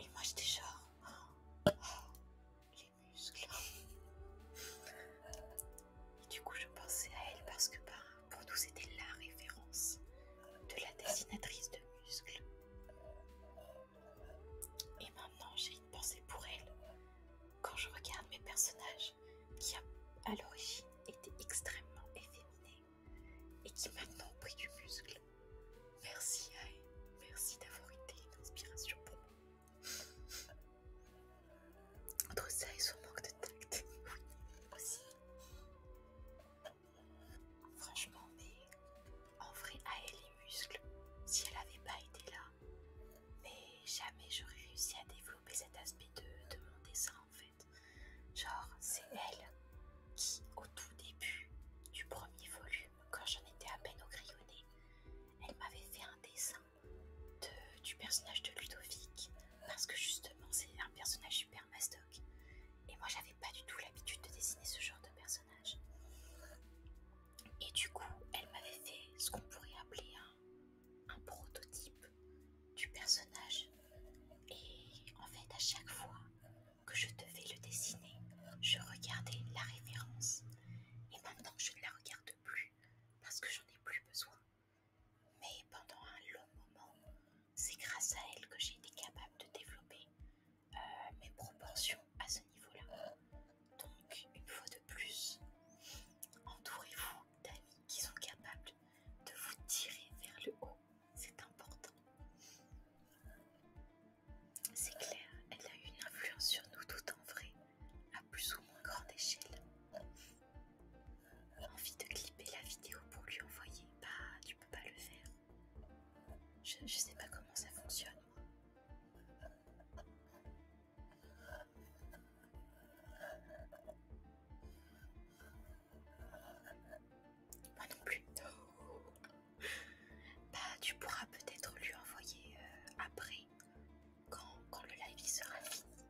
Speaker 1: Et moi j'étais genre. Oh, oh, et du coup, je pensais à elle parce que ben, pour nous, c'était la référence de la dessinatrice de muscles. Et maintenant, j'ai une pensée pour elle quand je regarde mes personnages qui, à l'origine, étaient extrêmement efféminés et qui maintenant ont pris du muscle. Merci à elle. Merci d'avoir été une inspiration pour moi. Autre ça et son manque de tact. aussi.
Speaker 2: Franchement, mais
Speaker 1: en vrai, à elle les muscles, si elle avait pas été là, mais jamais j'aurais réussi à développer cet aspect de, de mon dessin en fait. Genre, c'est elle qui, au tout début du premier volume, quand j'en étais à peine au crayonné, elle m'avait fait un dessin du personnage de Ludovic, parce que justement c'est un personnage super mastoc, et moi j'avais pas du tout l'habitude de dessiner ce genre de personnage. Et du coup, elle m'avait fait ce qu'on pourrait appeler un, prototype du personnage, et en fait à chaque fois que je devais le dessiner, je regardais la référence, et maintenant je ne la regarde plus parce que j'en ai plus besoin. Mais pendant un long moment, c'est grâce à elle que j'ai été capable de développer euh, mes proportions à ce niveau-là. Donc, une fois de plus, entourez-vous d'amis qui sont capables de vous tirer vers le haut. C'est important. C'est clair, elle a eu une influence sur nous tout en vrai à plus ou moins grande échelle. Euh, envie de clipper la vidéo pour lui envoyer, bah tu peux pas le faire. Je, sais pas comment
Speaker 2: ça fonctionne. Moi
Speaker 1: non plus. Bah tu pourras peut-être lui envoyer euh, après quand, le live sera fini,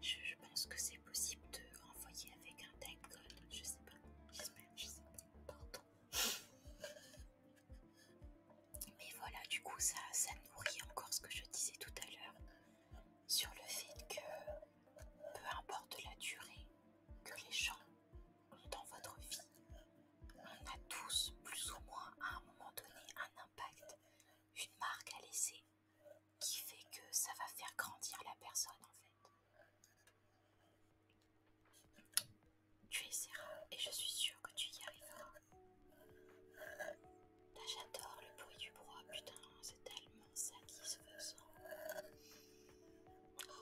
Speaker 1: je, pense que c'est possible de renvoyer avec un time code. Je sais pas, j'espère, je sais pas. Pardon. Mais voilà, du coup, ça, ça nourrit encore ce que je disais tout à l'heure sur le fait que peu importe la durée que les gens ont dans votre vie, on a tous plus ou moins à un moment donné un une marque à laisser qui fait que ça va faire grandir la personne en fait. Tu essaieras et je suis sûre que tu y arriveras. Bah, j'adore le bruit du bois, putain, c'est tellement
Speaker 2: ça se Oh.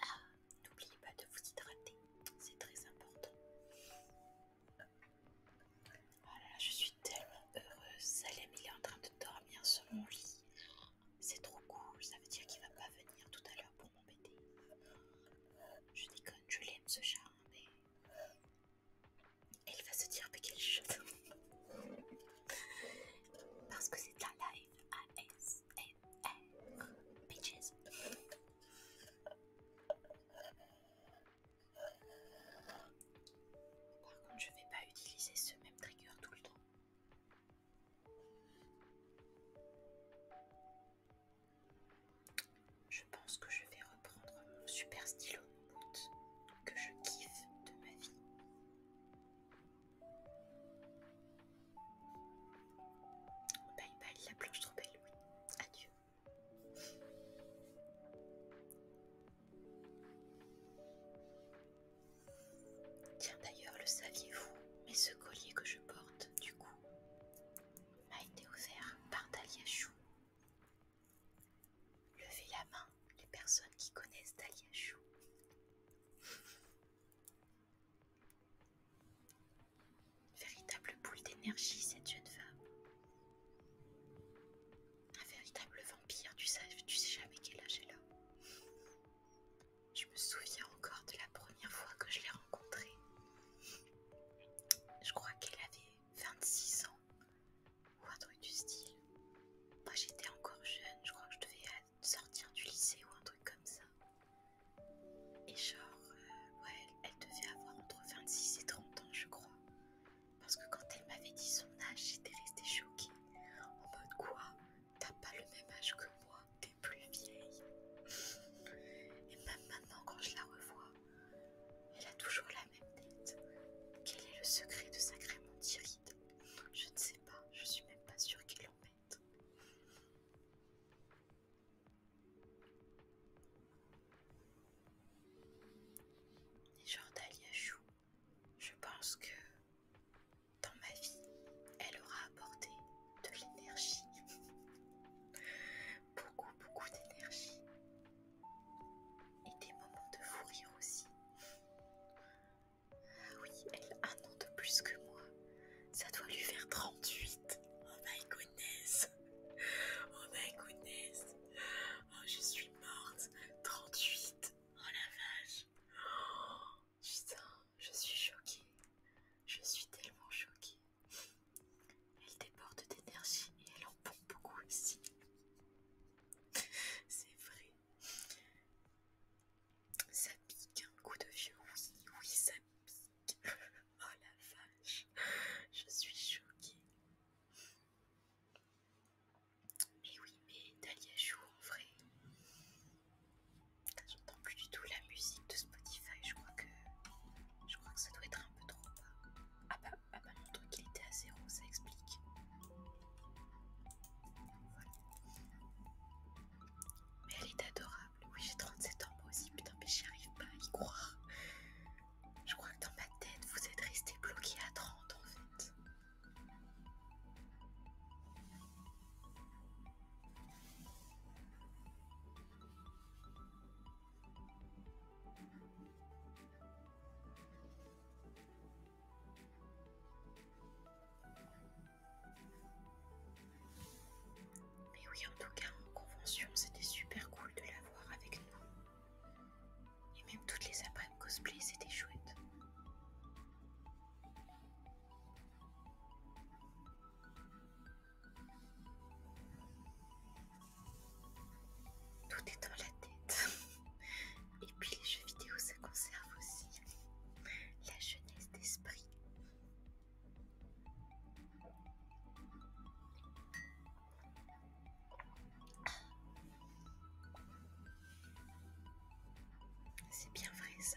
Speaker 1: Ah, n'oubliez pas de vous hydrater, c'est très important. Voilà, oh je suis tellement heureuse. Salem, il est en train de dormir sur mon lit. C'est trop cool, ça veut dire qu'il va pas venir tout à l'heure pour m'embêter. Je déconne, je l'aime ce chat, hein, mais. Et il va se dire, mais quel chat parce que c'est de la live ASMR bitches. Par contre, je vais pas utiliser ce même trigger tout le temps. Je pense que je vais reprendre mon super stylo Mood, que je kiffe de ma vie. Bye bye, la planche trop belle, oui. Adieu. Tiens d'ailleurs, le saviez-vous, mais ce collier que je porte, du coup, m'a été offert par Dalia Chou. Levez la main les personnes qui connaissent Dalia Chou. Véritable boule d'énergie, cette jeune femme. Un véritable vampire, tu sais, tu sais jamais quel âge elle a. Je me souviens encore de la première fois que je l'ai rencontrée. Je crois qu'elle avait 26 ans ou un truc du style. Moi j'étais encore jeune, je crois que je devais sortir du lycée ou un truc comme ça. Et genre, euh, ouais, elle devait avoir entre 26 et 30 ans, je crois. Parce que quand elle m'avait dit son âge, j'étais restée choquée. En mode quoi T'as pas le même âge que moi, t'es plus vieille. Et même maintenant, quand je la revois, elle a toujours la même tête. Quel est le secret de sa crémentière je ne sais pas, je suis même pas sûre qu'ils l'en Les gens d'Aliachou, je pense que dans ma vie, elle aura apporté de l'énergie. beaucoup, beaucoup d'énergie. Et des moments de fou rire aussi oui, elle a un an de plus que moi. Ça doit lui faire 38. Oh my
Speaker 2: goodness. Oh my goodness. Oh, je suis morte. 38. Oh la vache. Oh, putain, je suis choquée. Je suis tellement choquée.
Speaker 1: Elle déborde d'énergie et elle en pompe beaucoup aussi. C'est vrai. Ça pique un coup de vieux, oui, oui, ça pique. Oh la vache, je suis choquée. Mais oui, mais Dalia joue en vrai. J'entends plus du tout la musique de Spotify, je crois que je crois que ça doit être un peu trop bas. Ah bah, ah bah mon truc il était à zéro, ça explique. Mais elle est adorable. Oui, j'ai 37 ans moi aussi. Putain, mais j'y arrive pas à y croire. Je crois que dans ma tête, vous êtes resté bloqué à 30 en fait. Mais oui, en tout cas, en convention, c'était super cool de la voir avec nous. Et même toutes les après cosplay, c'était chouette.
Speaker 2: Tout est dans la tête.
Speaker 1: Et puis les jeux vidéo, ça conserve aussi la jeunesse d'esprit. C'est bien vrai ça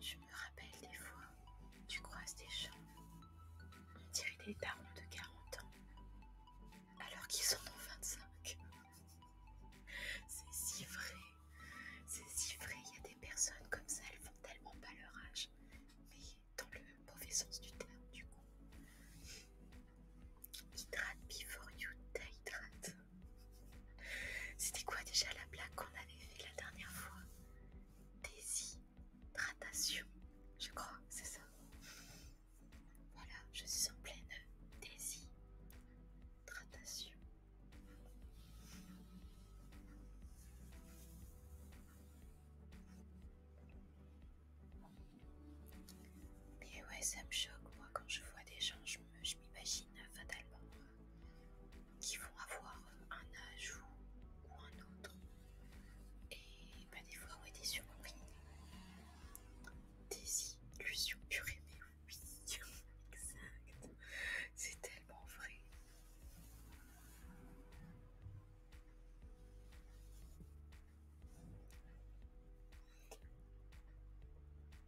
Speaker 1: Je me rappelle des fois, tu croises des gens, on dirait des parents de 40 ans, alors qu'ils en ont 25. C'est si vrai, c'est si vrai, il y a des personnes comme ça, elles font tellement pas leur âge, mais dans le mauvais sens du terme, du coup. Hydrate before you dehydrate C'était quoi déjà la blague qu'on avait fait la dernière fois Déshydratation, je crois, c'est ça. Voilà, je suis en pleine déshydratation. Mais ouais, ça me choque, moi, quand je vois des gens, je m'imagine fatalement euh, qu'ils vont avoir un âge ou, un autre. Et bah, des fois, ouais, des surprises. Des illusions purées, mais
Speaker 2: oui, exact. C'est tellement vrai.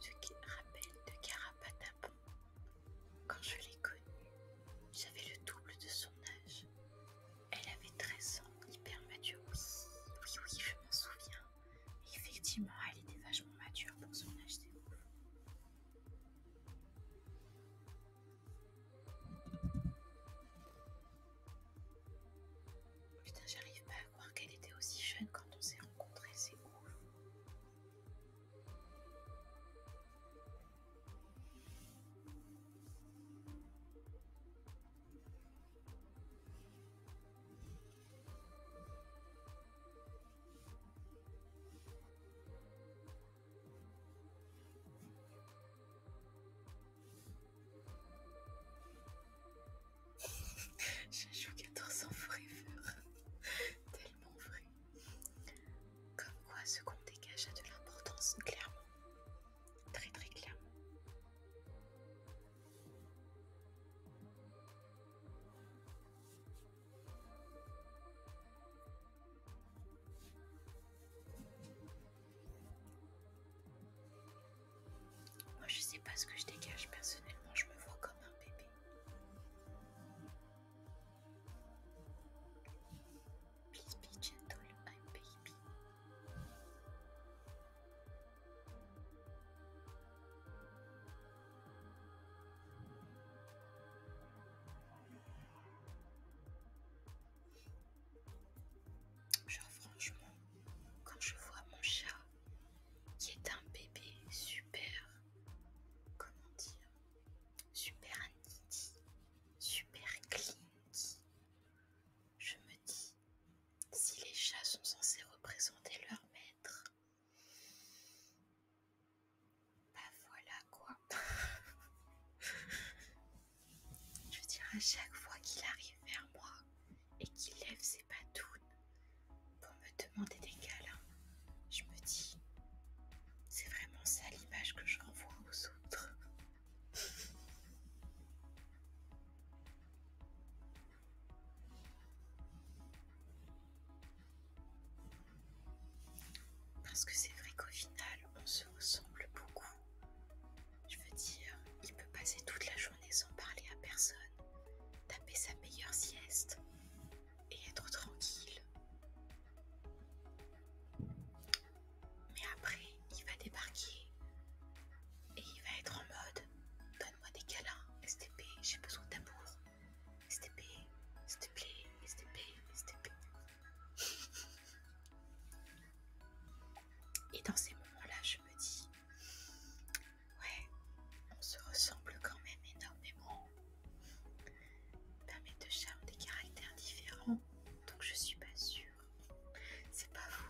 Speaker 1: Tu te rappelles de Carapatapon Quand je l'ai connue, j'avais le double de son âge. Elle avait 13 ans, hyper mature. Oui, oui, oui, je m'en souviens. effectivement, elle était vachement mature pour son âge, c'est Putain, j'arrive pas à croire qu'elle était aussi jeune quand on s'est rencontrés, c'est ouf.
Speaker 2: Je joue 14 et forever.
Speaker 1: Tellement vrai. Comme quoi ce qu'on dégage a de l'importance, clairement. Très très clairement. Moi je sais pas ce que je dégage personnellement, je me vois comme un bébé. Please be gentle, I'm baby. Genre franchement, quand je vois mon chat qui est un bébé super, comment dire, super nitty, super clinky, je me dis, si les chats sont censés représenter leur maître, bah voilà quoi. Je veux dire, à chaque fois qu'il arrive vers moi et qu'il lève ses patounes pour me demander des câlins, je me dis, c'est vraiment ça l'image que je renvoie aux autres. Parce que c'est vrai qu'au final, on se ressemble beaucoup je veux dire, il peut passer
Speaker 2: toute la journée
Speaker 1: sans parler à personne, taper sa meilleure sieste et être tranquille. Mais après, il va débarquer et il va être en mode Donne-moi des câlins, STP, j'ai besoin d'amour. STP, stp, STP, STP. Et dans ces moments-là, je me dis Ouais, on se ressemble quand même énormément. Permet de charme des caractères
Speaker 2: différents,
Speaker 1: donc je suis pas sûre. C'est pas vous.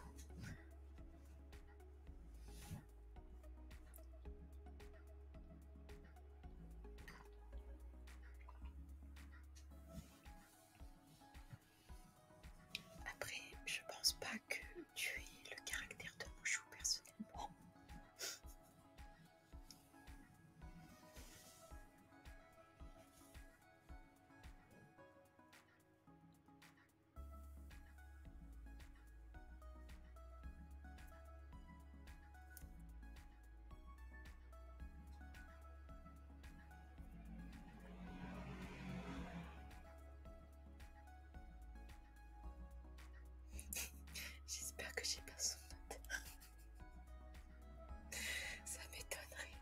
Speaker 1: Après, je pense pas que tu aies le caractère de mon personnellement.
Speaker 2: J'espère que j'ai pas son note. Ça m'étonnerait.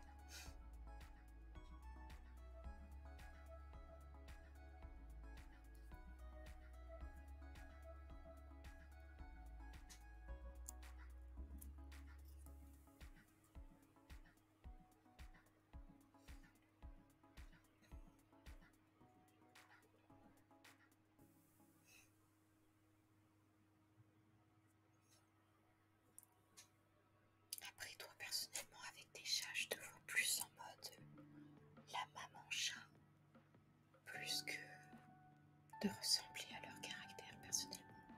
Speaker 1: Après toi personnellement avec tes chats, je te vois plus en mode la maman chat, plus que de ressembler à leur caractère
Speaker 2: personnellement.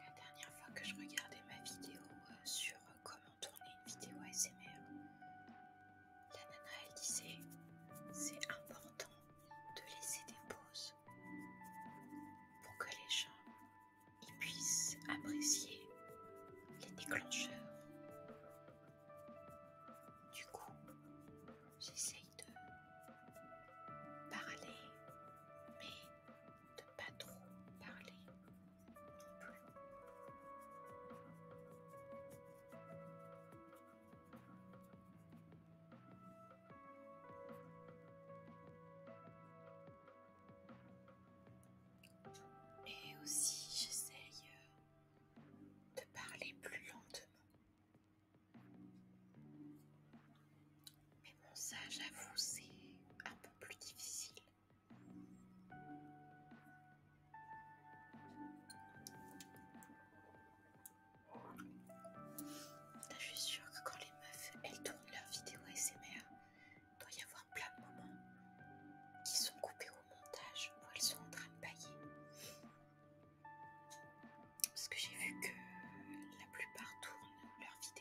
Speaker 1: La dernière fois que je regardais ma vidéo euh, sur euh, comment tourner une vidéo ASMR, la nana elle disait c'est important de laisser des pauses pour que les gens ils puissent apprécier les déclencheurs. Du coup, j'essaye de parler, mais de pas trop parler Et aussi j'essaye
Speaker 2: euh, de parler plus lentement
Speaker 1: ça, j'avoue, c'est un peu plus difficile. je suis sûre que quand les meufs, elles tournent leurs vidéos SMR, il doit y avoir plein de moments qui sont coupés au montage où elles sont en train de bailler. Parce que j'ai vu que la plupart tournent leurs vidéos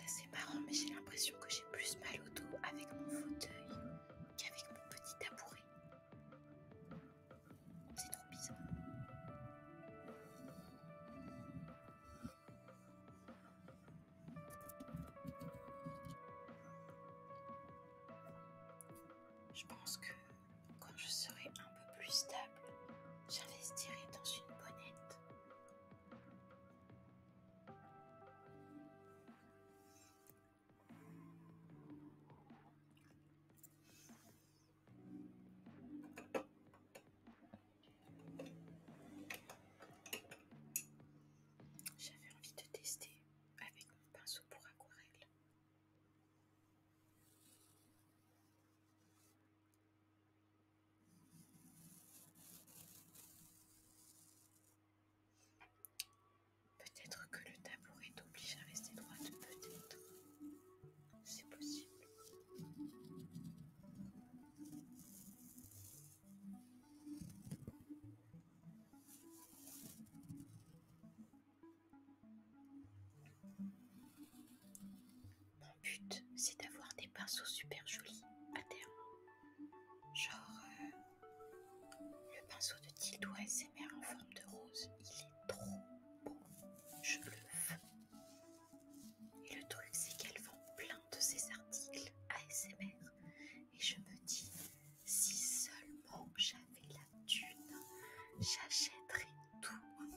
Speaker 1: c'est c'est marrant mais j'ai l'impression que j'ai plus mal au dos avec mon fauteuil qu'avec mon petit tabouret. C'est trop bizarre. Je pense que quand je serai un peu plus stable, j'investirai dans une bonnette j'avais envie de tester avec mon pinceau pour aquarelle. Peut-être que le tabouret obligé à rester droit. peut-être.
Speaker 2: C'est possible.
Speaker 1: Le but, c'est d'avoir des pinceaux super jolis à terme. Genre, euh, le pinceau de Tildo ASMR en forme de rose, il est
Speaker 2: trop beau. Je le veux. Et le truc, c'est qu'elle
Speaker 1: vend plein de ses articles ASMR. Et je me dis, si
Speaker 2: seulement j'avais la thune, j'achèterais tout.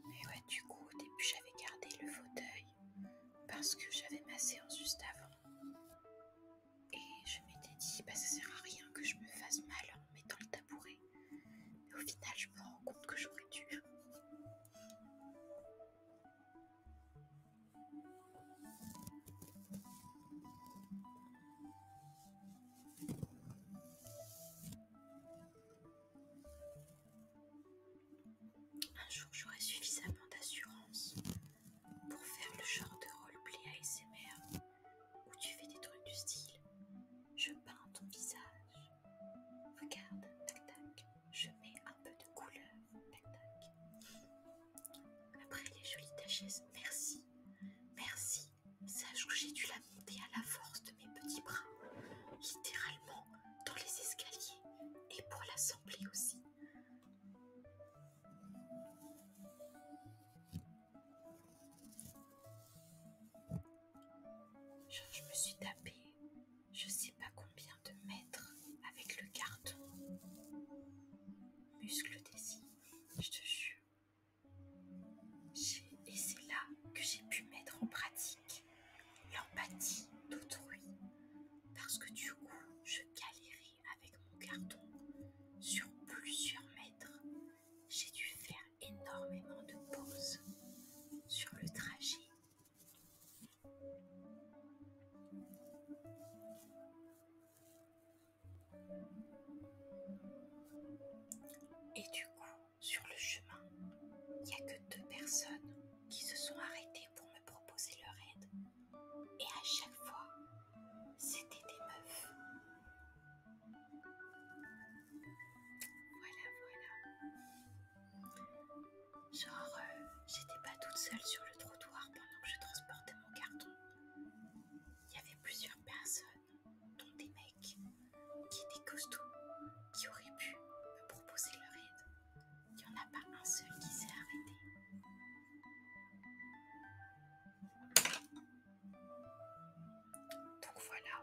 Speaker 1: Mais ouais, du coup, au début, j'avais gardé le fauteuil parce que j'avais ma séance juste avant. Et je m'étais dit, bah, ça sert à rien que je me fasse mal en mettant le tabouret. Mais au final,
Speaker 2: je me rends compte que j'aurais dû.
Speaker 1: Un jour, j'aurai suffisamment d'assurance pour faire le genre de roleplay ASMR où tu fais des trucs du style je peins ton visage, regarde, tac tac, je mets un peu de couleur, tac tac. Après les jolies taches, merci, merci, sache que j'ai dû la monter à la force de mes petits bras, littéralement dans les escaliers et pour l'assemblée aussi. Je, me suis tapé, je sais pas combien de mètres avec le carton. Muscle yeux, je te jure. Et c'est là que j'ai pu mettre en pratique l'empathie d'autrui. Parce que du coup, je galérais avec mon carton sur plusieurs mètres. J'ai dû faire énormément de pauses sur le trajet. Et du coup, sur le chemin, il n'y a que deux personnes qui se sont arrêtées pour me proposer leur aide. Et à chaque fois, c'était des meufs. Voilà, voilà. Genre, euh, j'étais pas toute seule sur le trottoir pendant que je transportais mon carton. Il y avait plusieurs personnes, dont des mecs, qui étaient costauds, qui auraient pu me proposer leur aide. Il n'y en a pas un seul qui s'est arrêté. Donc voilà,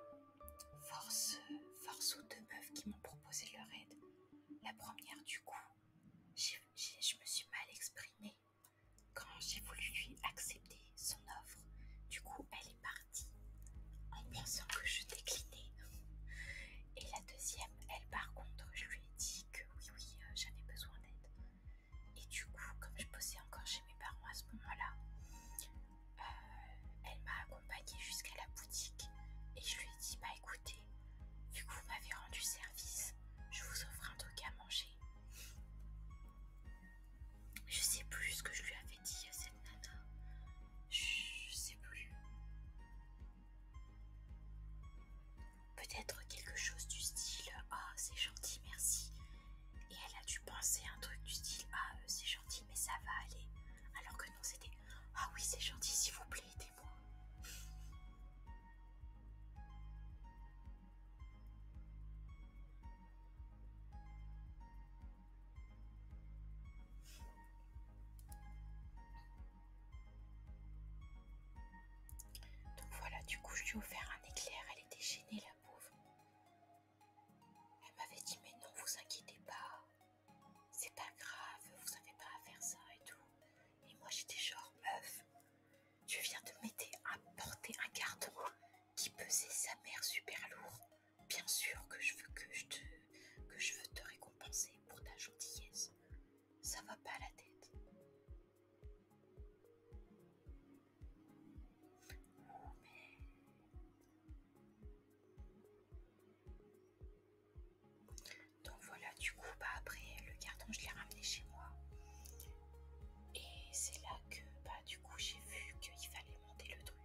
Speaker 1: force, force aux deux meufs qui m'ont proposé leur aide. La première, du coup, je me suis mal exprimée quand j'ai voulu lui accepter son offre. Du coup, elle est partie en pensant que je déclinais. Et la deuxième, elle, par contre, je lui ai dit que oui, oui, euh, j'avais besoin d'aide. Et du coup, comme je posais encore chez mes parents à ce moment-là, euh, elle m'a accompagnée jusqu'à la boutique et je lui ai dit Bah écoutez, vu que vous m'avez rendu service, je vous offre un truc à manger. Je sais plus ce que je lui avais dit à cette nana. Je sais plus. Peut-être quelque chose du style Ah, c'est gentil, merci. Et elle a dû penser un truc du style Ah, euh, c'est gentil, mais ça va aller. Alors que non, c'était Ah oui, c'est gentil,
Speaker 2: s'il vous plaît, aidez-moi.
Speaker 1: Donc voilà, du coup, je lui ai offert un éclair. Elle était gênée, la pauvre. Elle m'avait dit, mais non, vous inquiétez pas. C'est pas grave, vous n'avez pas à faire ça et tout. Et moi, j'étais genre, meuf, je viens de m'aider à porter un carton qui pesait sa mère super lourd. Bien sûr que je veux que je te, que je veux te récompenser pour ta gentillesse. Ça va pas à la tête. Donc voilà, du coup, bah après le carton, je l'ai ramené chez moi. Et c'est là que, bah du coup, j'ai vu qu'il fallait monter le truc.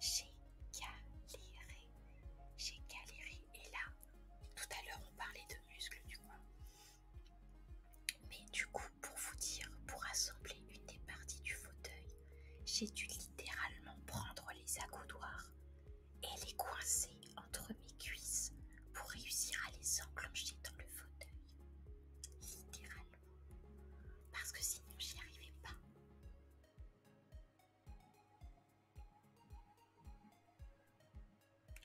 Speaker 1: J'ai galéré, j'ai galéré. Et là, tout à l'heure, on parlait de muscles, du coup. Mais du coup, pour vous dire, pour assembler une des parties du fauteuil, j'ai dû littéralement prendre les accoudoirs et les coincer entre mes cuisses pour réussir à les enclencher dans le fauteuil. Littéralement. Parce que sinon, j'y arrivais pas.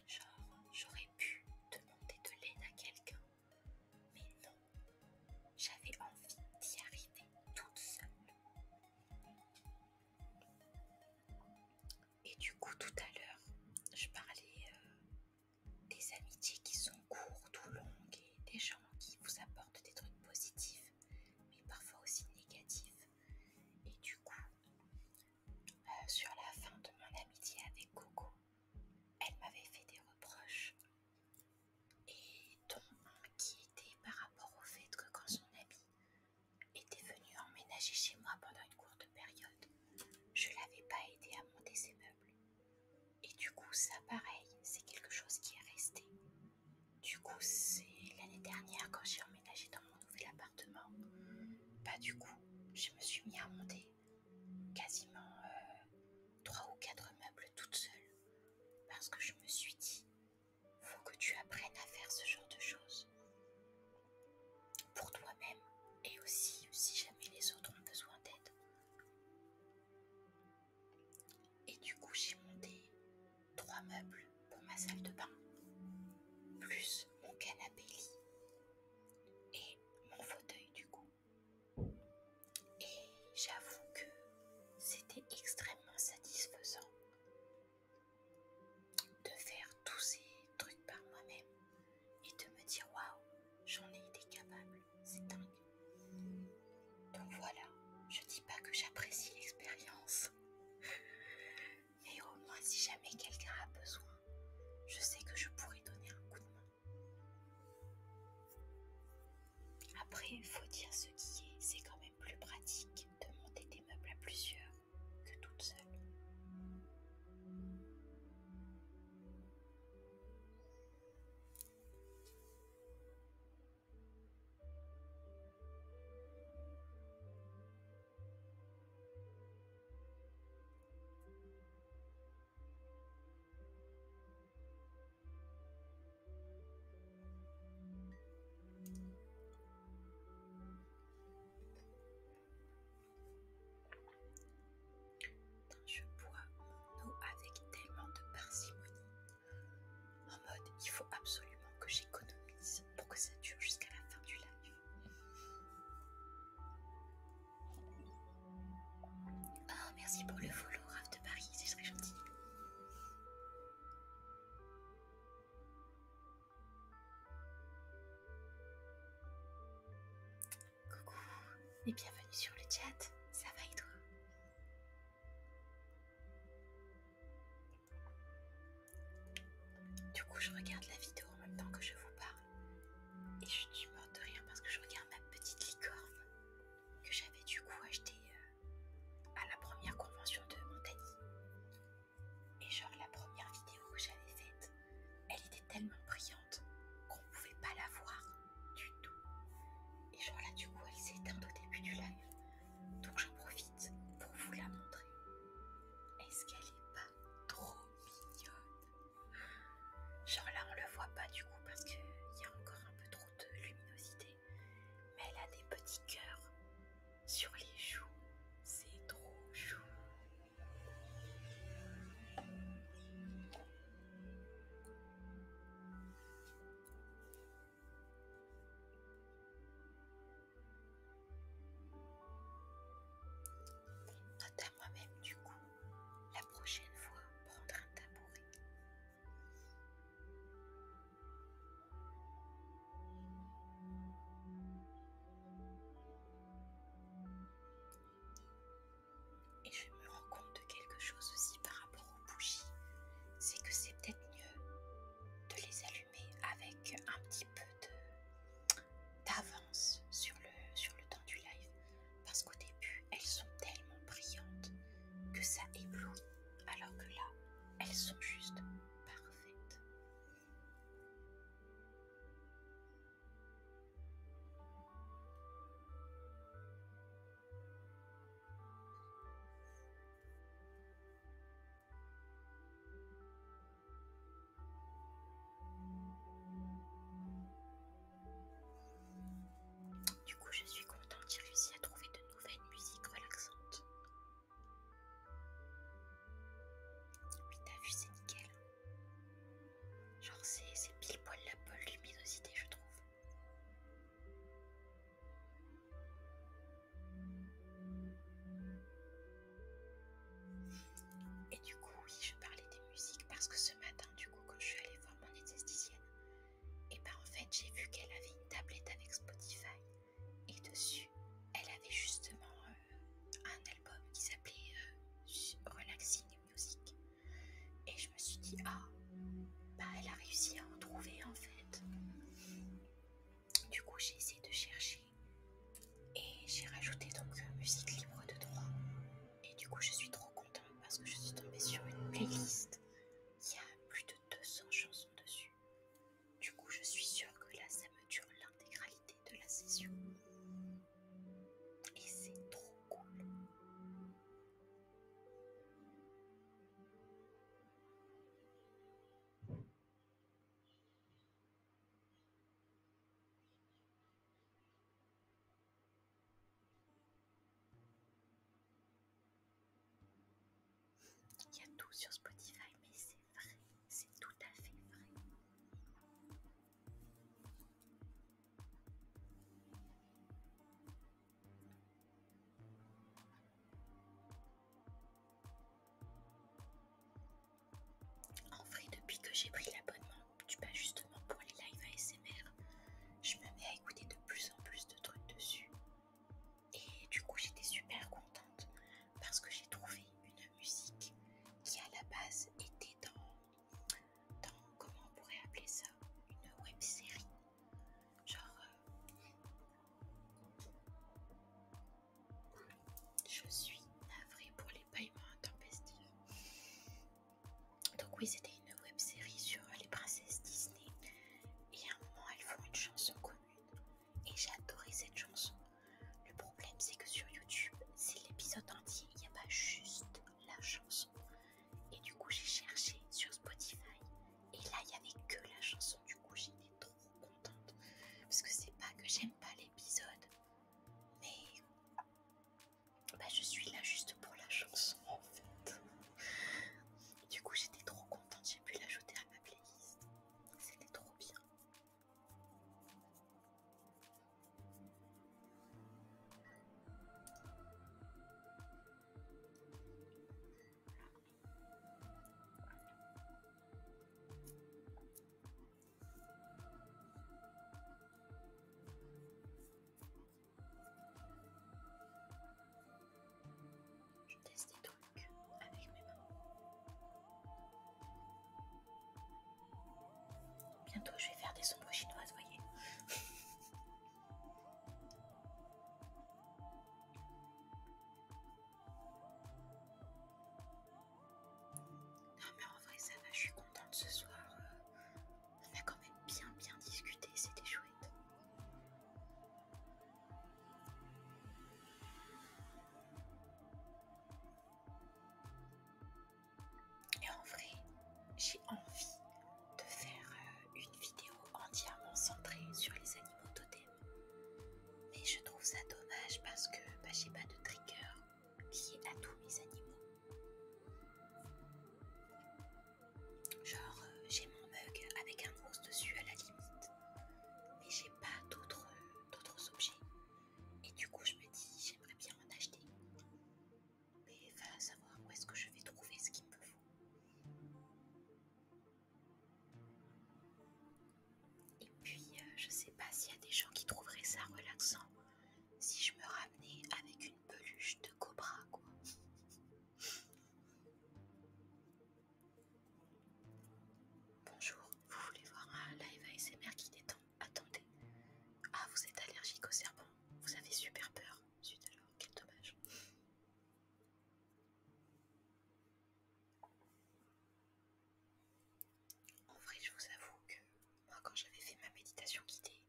Speaker 1: Genre, j'aurais pu demander de l'aide à quelqu'un, mais non, j'avais envie d'y arriver toute seule. Et du coup, tout à l'heure, je parlais euh, des amitiés qui sont courtes ou longues et des gens qui vous apportent des trucs positifs, mais parfois aussi négatifs. Et du coup, euh, sur la fin de mon amitié avec Coco, elle m'avait fait des reproches, et dont un qui était par rapport au fait que quand son ami était venu emménager chez moi pendant une courte période, je l'avais pas aidé à monter ses meubles. Et du coup, ça, pareil, c'est quelque chose qui est resté. Du coup, c'est l'année dernière quand j'ai emménagé dans mon nouvel appartement. Bah, du coup, je me suis mis à monter quasiment 3 euh, ou 4 meubles toute seule parce que je me suis dit faut que tu apprennes à faire ce genre de choses pour toi-même et aussi si jamais les autres ont besoin d'aide. Et du coup j'ai monté trois meubles pour ma salle de bain plus mon canapé lit et mon fauteuil du coup. Et j'avoue que c'était extrêmement satisfaisant de faire tous ces trucs par moi-même et de me dire waouh, j'en ai été capable, c'est dingue. Donc voilà, je dis pas que j'apprécie l'expérience, mais au moins si jamais quelqu'un a besoin je sais que je pourrais donner un coup de main. Après, il faut dire ce qui est, c'est quand même plus pratique de monter des meubles à plusieurs que toutes seules je bois mon eau avec tellement de parcimonie, en mode il faut absolument que j'économise pour que ça dure jusqu'à la fin du live. Ah, merci pour le volo, raf de Paris, c'est très gentil. Coucou et bienvenue sur le chat, ça va et toi Du coup je regarde la vidéo en même temps que je vous parle. Et je suis morte de rire parce que je regarde ma petite licorne que j'avais du coup achetée euh, à la première convention de Montagny. Et genre la première vidéo que j'avais faite, elle était tellement brillante qu'on ne pouvait pas la voir du tout. Et genre là du coup elle s'est éteinte au début du live. Donc j'en profite pour vous la montrer. Est-ce qu'elle n'est pas trop mignonne Genre là, on le voit pas du coup parce qu'il y a encore un peu trop de luminosité. Mais elle a des petits cœurs sur les joues. C'est trop chou. Notamment même du coup la prochaine fois, prendre un tabouret.
Speaker 2: Et je me rends compte de quelque chose
Speaker 1: aussi par rapport aux bougies, c'est que c'est peut-être mieux de les allumer avec un petit peu de d'avance sur le, sur le temps du live. Parce qu'au début, elles sont tellement brillantes que ça éblouit. Alors que là, elles sont juste parfaites. Du coup, je suis contente, j'ai réussi à trouver de nouvelles musiques relaxantes. puis t'as vu, c'est nickel. Genre, c'est pile poil la bonne luminosité, je trouve. Et du coup, oui, je parlais des musiques parce que ce matin, du coup, quand je suis allée voir mon esthéticienne. Et ben en fait j'ai vu qu'elle avait une tablette avec Spotify et dessus elle avait justement euh, un album qui s'appelait euh, Relaxing Music. Et je me suis dit ah bah elle a réussi à en trouver en fait. Du coup j'ai essayé de chercher et j'ai rajouté donc euh, musique libre de droit et du coup, je suis trop contente parce que je suis tombée sur une playlist y a plus de 200 chansons dessus. Du coup, je suis sûre que là, ça me dure l'intégralité de la session. Et c'est trop cool. Il y a tout sur Spotify, mais c'est vrai, c'est tout à fait vrai. En vrai, depuis que j'ai pris l'abonnement justement pour les lives ASMR, je me mets à écouter de plus en plus de trucs dessus. Et du coup, j'étais super contente parce que j'ai trouvé une musique qui à la base était dans, dans comment on pourrait appeler ça, une web série, genre euh, je suis navrée pour les paiements intempestifs. Donc oui, c'était une web série sur les princesses Disney. Et à un moment, elles font une chanson commune. Et j'ai adoré cette chanson. Le problème, c'est que sur YouTube, c'est l'épisode entier. Il n'y a pas juste la chanson. Et du coup, j'ai cherché sur Spotify. Et là, il n'y avait que la chanson. Du coup, j'étais trop contente. Parce que c'est pas que j'aime pas l'épisode. Mais bah, je suis là juste pour la chanson en fait. Du coup j'étais trop contente, j'ai pu l'ajouter à ma playlist. C'était trop bien. Je teste des trucs avec mes mains. Bientôt, je vais faire des sombres chinoises, vous voyez. Non mais en vrai ça va, je suis contente ce soir. Euh. On a quand même bien bien discuté, c'était chouette. Et en vrai, j'ai envie de faire euh, une vidéo entièrement centrée sur les animaux totems. Mais je trouve ça dommage parce que bah, j'ai pas de trigger qui est à tous mes animaux. Genre, euh, j'ai mon mug avec un rose dessus à la limite, mais j'ai pas d'autres objets. Et du coup, je me dis, j'aimerais bien en acheter. Mais va
Speaker 2: savoir où est-ce que je vais trouver ce qu'il me faut.
Speaker 1: Et puis, euh, je sais pas s'il y a des gens qui trouveraient ça relaxant si je me ramenais avec une peluche de cobra, quoi. Bonjour, vous voulez voir un live ASMR qui détend Attendez. Ah, vous êtes allergique au serpents Vous avez super
Speaker 2: peur. Zut alors, quel dommage. En vrai, je vous avoue que moi,
Speaker 1: quand j'avais fait ma méditation guidée,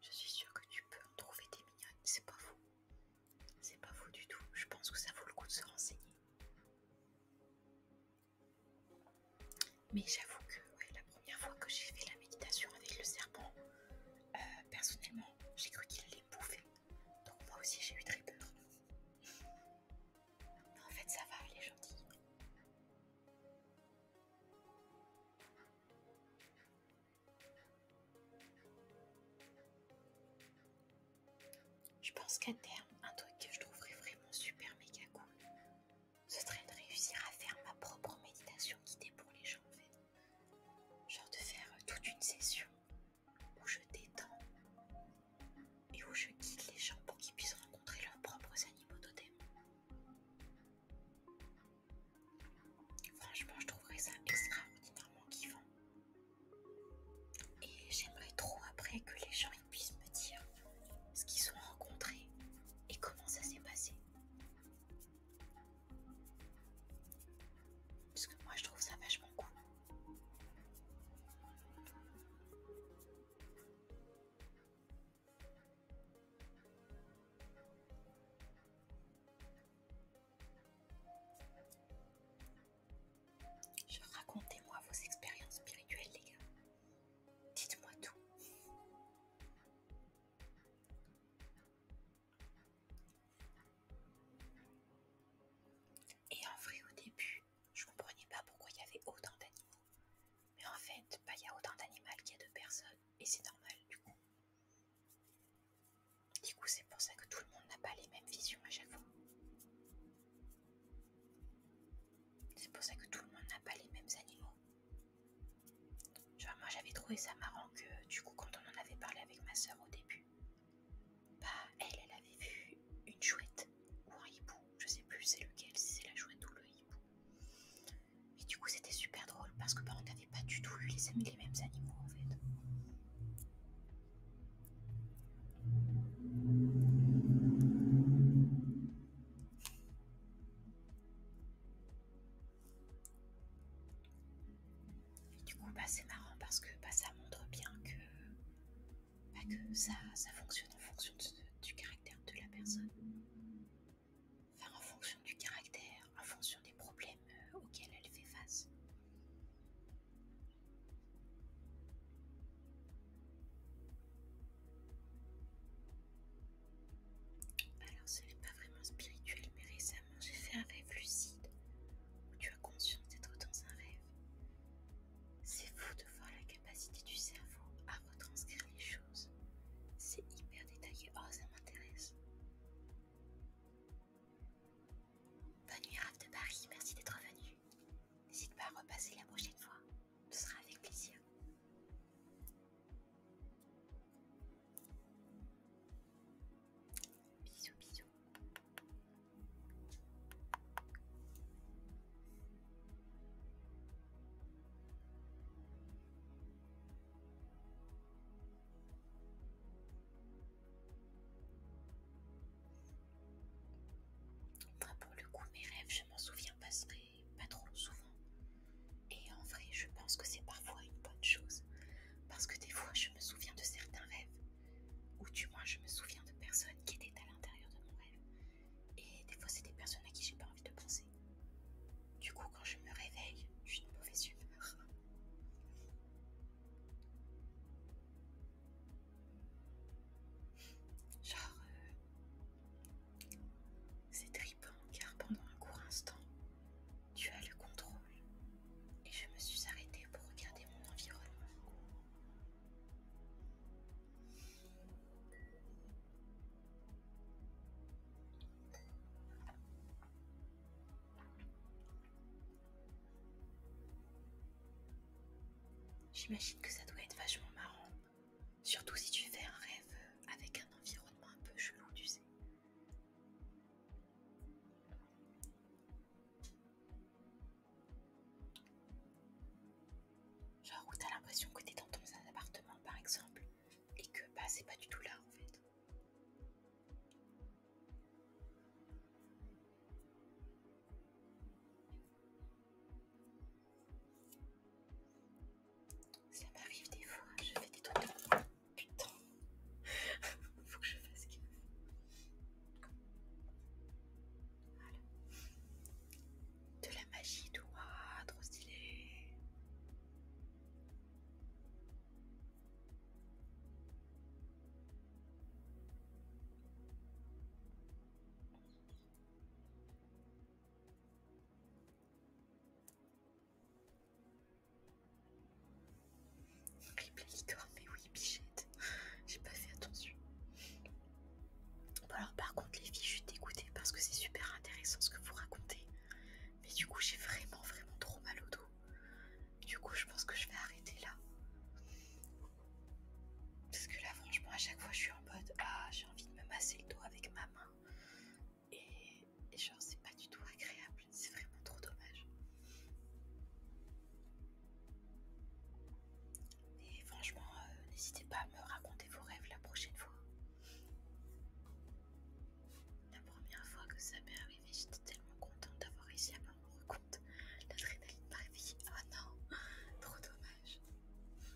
Speaker 1: je suis sûre que tu peux en trouver des mignonnes, c'est pas faux. C'est pas faux du tout, je pense que ça vaut le coup de se renseigner. Mais j'avoue que la première fois que j'ai fait la méditation avec le serpent, euh, personnellement, j'ai cru qu'il allait bouffer. Donc moi aussi j'ai eu très peur. en fait ça
Speaker 2: va, elle est gentille.
Speaker 1: Je pense qu'à terme, un truc que je trouverais vraiment super méga cool, ce serait de réussir à faire ma propre méditation guidée pour les gens en fait. Genre de faire euh, toute une session où je détends et où je guide les gens pour qu'ils puissent rencontrer leurs propres animaux démon. Franchement, je trouverais ça extraordinairement kiffant. Et j'aimerais trop après que les gens puissent me dire ce qu'ils ont rencontré et comment ça s'est passé.
Speaker 2: Parce que moi je trouve ça vachement cool.
Speaker 1: Je racontez-moi vos expériences spirituelles, les
Speaker 2: gars. Dites-moi tout.
Speaker 1: Et en vrai, au début, je comprenais pas pourquoi il y avait autant d'animaux. Mais en fait, pas bah, il y a autant d'animal qu'il y a de personnes, et c'est normal du coup. Du coup, c'est pour ça que tout le monde n'a pas les mêmes visions à chaque fois. C'est pour ça que tout le monde n'a pas les mêmes animaux. Genre, moi j'avais trouvé ça marrant que, du coup, quand on en avait parlé avec ma soeur au début, bah, elle, elle avait vu une chouette ou un hibou. Je sais plus c'est lequel, si c'est la chouette ou le hibou. Et du coup, c'était super drôle parce que bah, n'avait pas du tout eu les, les mêmes animaux en fait. Et du coup, bah, c'est marrant parce que bah, ça montre bien que, que ça, fonctionne en fonction du caractère de la personne. Enfin, en fonction du caractère, en
Speaker 2: fonction des problèmes
Speaker 1: euh, auxquels elle fait face. Alors, ce n'est pas vraiment spirituel, mais récemment j'ai fait un rêve lucide où tu as conscience d'être dans un rêve. C'est fou de voir la capacité du cerveau à retranscrire les choses c'est hyper détaillé. Oh, ça m'intéresse. Bonne nuit, Raph de Paris. Merci d'être venu. N'hésite pas à repasser la prochaine fois. Ce sera avec plaisir. Bisous, bisous
Speaker 2: pour le coup, mes rêves, je m'en
Speaker 1: souviens pas, pas trop souvent. Et en vrai, je pense que c'est parfois une bonne chose. Parce que des fois, je me souviens de certains rêves. Ou du moins, je me souviens de personnes qui étaient à l'intérieur de mon rêve. Et des fois, c'est des personnes à qui j'ai pas envie de penser. Du coup, quand je me réveille, je suis de mauvaise humeur. Genre, euh, c'est tripant car pendant un court instant, tu as le contrôle et je me suis arrêtée pour regarder mon environnement. J'imagine que ça doit être vachement marrant, surtout si tu fais un rêve avec un environnement un peu chelou, tu sais. Genre où t'as l'impression que t'es dans ton appartement, par exemple, et que bah, c'est pas du tout là en fait.
Speaker 2: Ça m'arrive des fois, je fais des trucs. Putain, faut que je fasse que.
Speaker 1: Voilà. De la magie, Toi, trop stylé
Speaker 2: mais oui, bichette. J'ai pas fait attention.
Speaker 1: alors par contre les filles, je suis dégoûtée parce que c'est super intéressant ce que vous racontez. Mais du coup, j'ai vraiment, vraiment trop mal au dos. Du coup, je pense que je vais arrêter là. Parce que là, franchement, à chaque fois, je suis en mode Ah, j'ai envie de me masser le dos avec ma main. Et, genre, c'est pas du tout agréable. C'est vraiment trop dommage. Et franchement, euh, n'hésitez pas à me raconter vos rêves la prochaine fois. La première fois que ça m'est arrivé, j'étais tellement contente d'avoir réussi à me rendre compte. L'adrénaline m'a Oh non, trop dommage. Oh,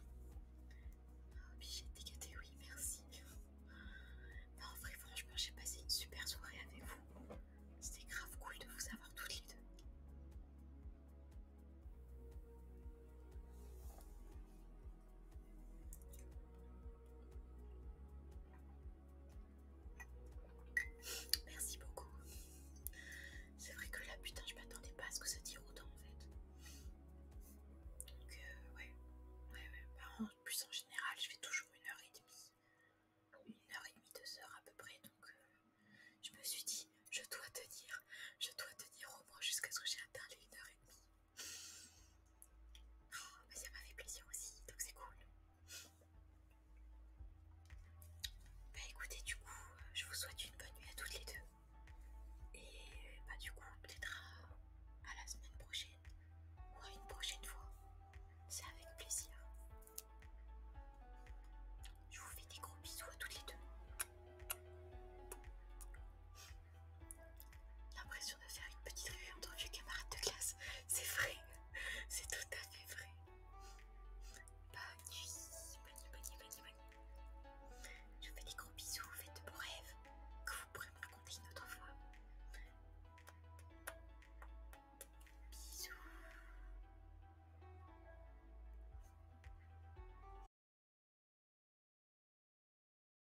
Speaker 1: de des oui, merci. Non, en vrai, franchement, j'ai passé une super soirée avec vous. C'était grave cool de vous avoir toutes les deux. Merci beaucoup. C'est vrai que là, putain, je m'attendais pas à ce que ça tire autant en fait. Donc, euh, ouais. Ouais, ouais. Bah, en plus, en général, je fais toujours une heure et demie. Une heure et demie, deux heures à peu près. Donc, euh, je me suis dit, je dois tenir. Je dois tenir au moins jusqu'à ce que j'ai atteint les une heure et demie. Oh, ça m'a fait plaisir aussi, donc c'est cool. Bah écoutez, du coup, euh, je vous souhaite une bonne nuit à toutes les deux. Et euh, bah du coup, peut-être à la semaine prochaine ou à une prochaine fois. C'est avec plaisir. Je vous fais des gros bisous à toutes les deux. L'impression de faire une petite revue entre vieux camarades de classe. C'est vrai, c'est tout à fait vrai. Bonne nuit, bonne nuit, bonne nuit, bonne nuit. Je vous fais des gros bisous, faites de beaux
Speaker 2: rêves. Que vous pourrez me raconter une autre fois. Bisous.